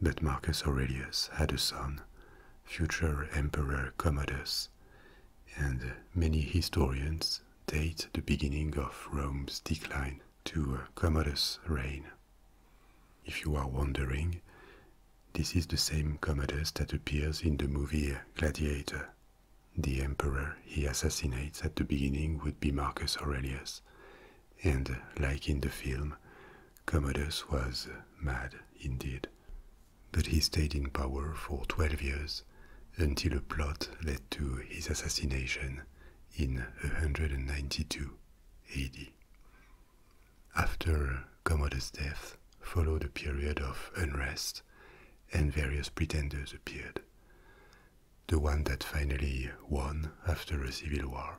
But Marcus Aurelius had a son, future Emperor Commodus, and many historians date the beginning of Rome's decline to Commodus' reign. If you are wondering, this is the same Commodus that appears in the movie Gladiator. The emperor he assassinates at the beginning would be Marcus Aurelius, and like in the film, Commodus was mad indeed. But he stayed in power for 12 years until a plot led to his assassination in 192 AD. After Commodus' death followed a period of unrest and various pretenders appeared. The one that finally won after a civil war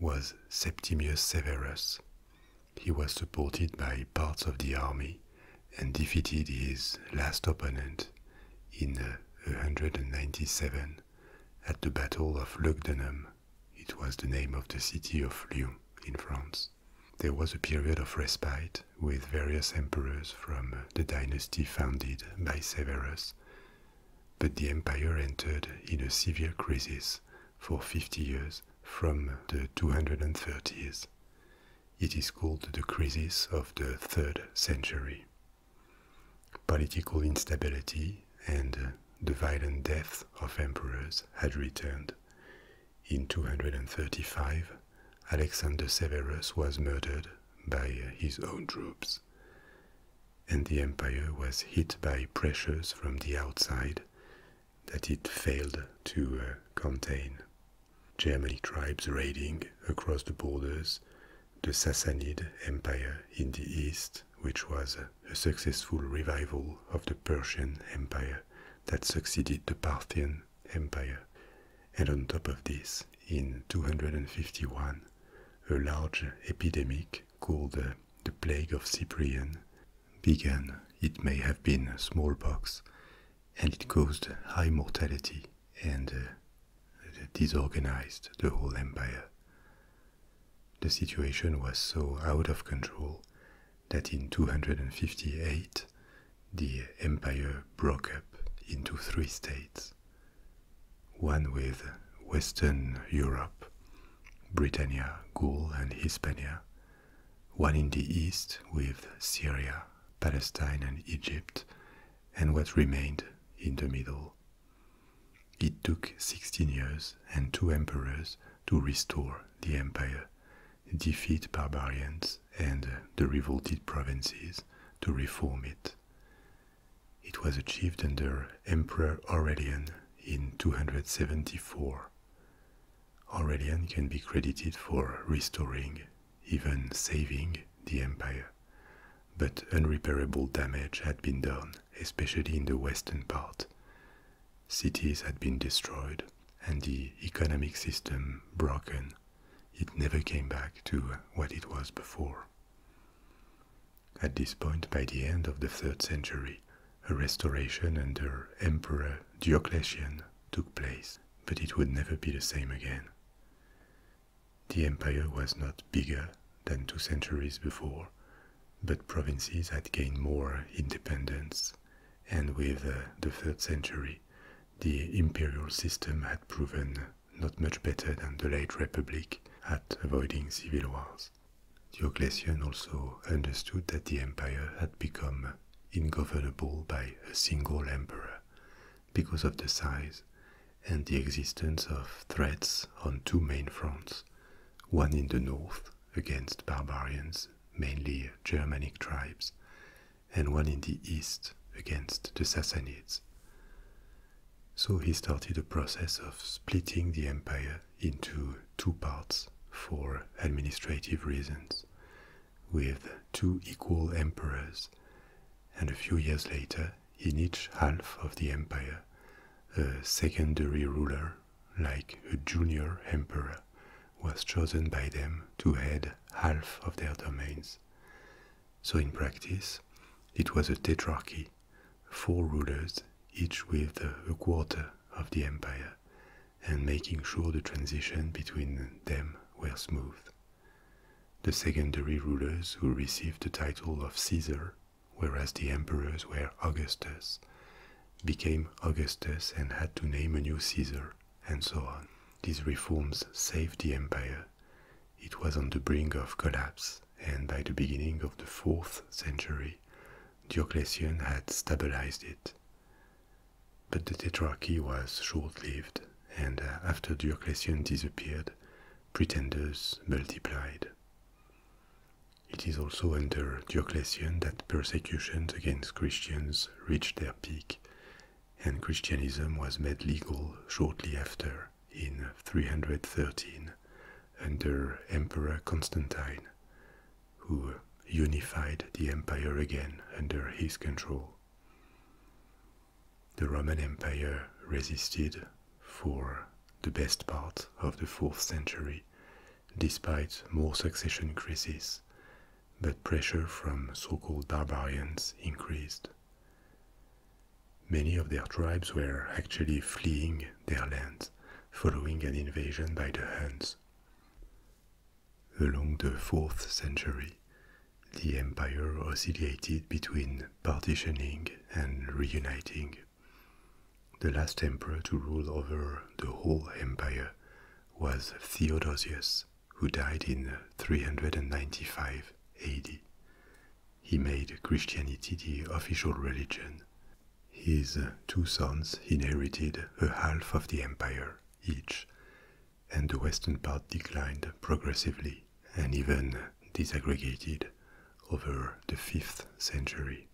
was Septimius Severus. He was supported by parts of the army and defeated his last opponent in 197 at the Battle of Lugdunum. It was the name of the city of Lyon in France. There was a period of respite with various emperors from the dynasty founded by Severus, but the empire entered in a severe crisis for 50 years from the 230s. It is called the crisis of the 3rd century. Political instability and the violent death of emperors had returned, in 235, Alexander Severus was murdered by his own troops, and the empire was hit by pressures from the outside that it failed to uh, contain. Germanic tribes raiding across the borders, the Sassanid Empire in the east, which was a successful revival of the Persian Empire that succeeded the Parthian Empire. And on top of this, in 251, a large epidemic called the Plague of Cyprian began. It may have been smallpox, and it caused high mortality and uh, disorganized the whole empire. The situation was so out of control that in 258 the empire broke up into three states one with Western Europe, Britannia, Gaul, and Hispania, one in the east with Syria, Palestine, and Egypt, and what remained in the middle. It took 16 years and two emperors to restore the empire, defeat barbarians, and the revolted provinces to reform it. It was achieved under Emperor Aurelian in 274. Aurelian can be credited for restoring, even saving, the empire, but unrepairable damage had been done, especially in the western part. Cities had been destroyed and the economic system broken it never came back to what it was before. At this point, by the end of the third century, a restoration under Emperor Diocletian took place, but it would never be the same again. The empire was not bigger than two centuries before, but provinces had gained more independence, and with uh, the third century, the imperial system had proven not much better than the late republic at avoiding civil wars. Diocletian also understood that the empire had become ingovernable by a single emperor because of the size and the existence of threats on two main fronts one in the north against barbarians, mainly Germanic tribes, and one in the east against the Sassanids. So he started a process of splitting the empire into two parts for administrative reasons, with two equal emperors, and a few years later, in each half of the empire, a secondary ruler, like a junior emperor, was chosen by them to head half of their domains. So in practice, it was a tetrarchy, four rulers, each with a quarter of the empire, and making sure the transition between them were smooth. The secondary rulers who received the title of Caesar, whereas the emperors were Augustus, became Augustus and had to name a new Caesar and so on. These reforms saved the empire. It was on the brink of collapse, and by the beginning of the fourth century, Diocletian had stabilized it. But the tetrarchy was short lived, and uh, after Diocletian disappeared, pretenders multiplied. It is also under Diocletian that persecutions against Christians reached their peak, and Christianism was made legal shortly after in 313 under Emperor Constantine, who unified the empire again under his control. The Roman Empire resisted for the best part of the 4th century, despite more succession crises but pressure from so called barbarians increased. Many of their tribes were actually fleeing their lands following an invasion by the Huns. Along the 4th century, the empire oscillated between partitioning and reuniting. The last emperor to rule over the whole empire was Theodosius, who died in uh, 395 AD. He made Christianity the official religion. His uh, two sons inherited a half of the empire each, and the western part declined progressively and even disaggregated over the 5th century.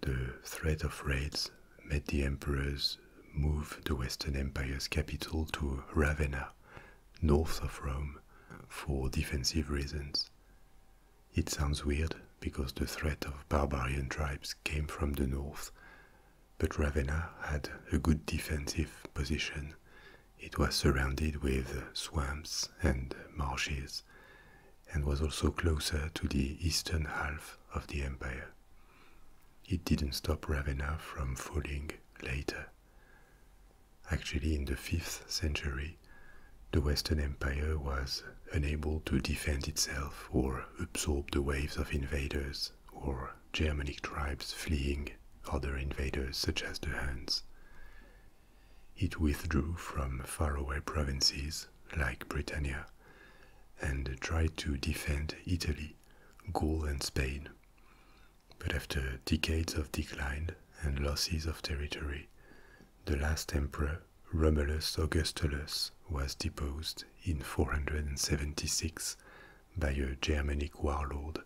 The threat of raids made the emperors moved the Western Empire's capital to Ravenna, north of Rome, for defensive reasons. It sounds weird because the threat of barbarian tribes came from the north, but Ravenna had a good defensive position. It was surrounded with swamps and marshes and was also closer to the eastern half of the empire. It didn't stop Ravenna from falling later. Actually, in the 5th century, the Western Empire was unable to defend itself or absorb the waves of invaders or Germanic tribes fleeing other invaders such as the Huns. It withdrew from faraway provinces like Britannia and tried to defend Italy, Gaul, and Spain but after decades of decline and losses of territory, the last emperor, Romulus Augustulus, was deposed in 476 by a Germanic warlord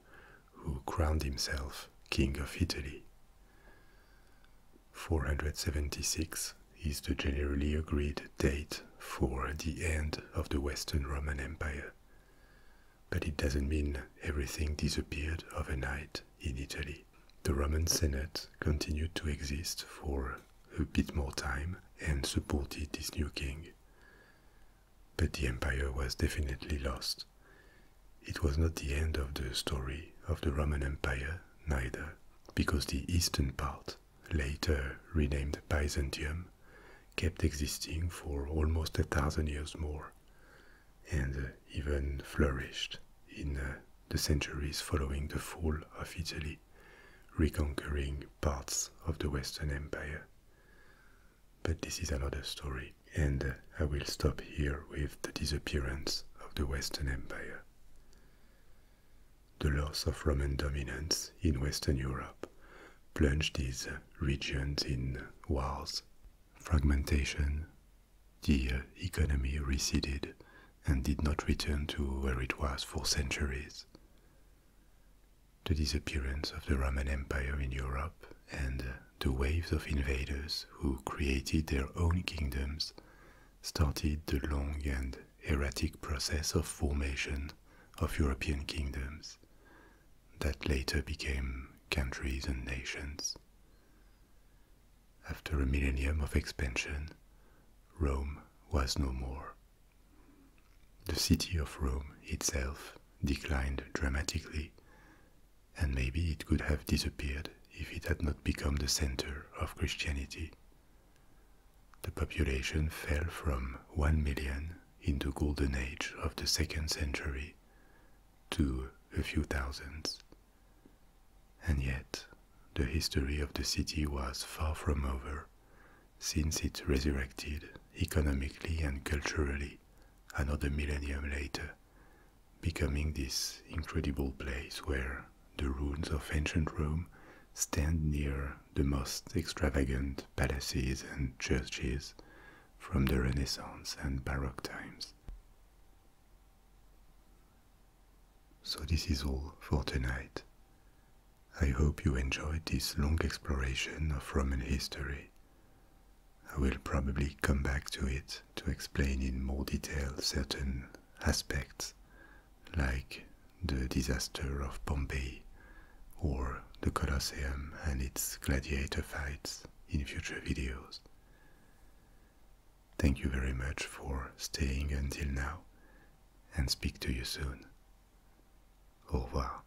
who crowned himself King of Italy. 476 is the generally agreed date for the end of the Western Roman Empire but it doesn't mean everything disappeared overnight in Italy. The Roman Senate continued to exist for a bit more time and supported this new king. But the empire was definitely lost. It was not the end of the story of the Roman Empire, neither, because the eastern part, later renamed Byzantium, kept existing for almost a thousand years more and uh, even flourished in uh, the centuries following the fall of Italy, reconquering parts of the Western Empire. But this is another story, and uh, I will stop here with the disappearance of the Western Empire. The loss of Roman dominance in Western Europe plunged these regions in wars, fragmentation. The economy receded and did not return to where it was for centuries. The disappearance of the Roman Empire in Europe and the waves of invaders who created their own kingdoms started the long and erratic process of formation of European kingdoms, that later became countries and nations. After a millennium of expansion, Rome was no more. The city of Rome itself declined dramatically, and maybe it could have disappeared if it had not become the center of Christianity. The population fell from 1 million in the Golden Age of the second century to a few thousands. And yet, the history of the city was far from over since it resurrected economically and culturally another millennium later, becoming this incredible place where the ruins of ancient Rome stand near the most extravagant palaces and churches from the Renaissance and Baroque times. So, this is all for tonight. I hope you enjoyed this long exploration of Roman history. I will probably come back to it to explain in more detail certain aspects, like the disaster of Pompeii or the Colosseum and its gladiator fights in future videos. Thank you very much for staying until now and speak to you soon. Au revoir.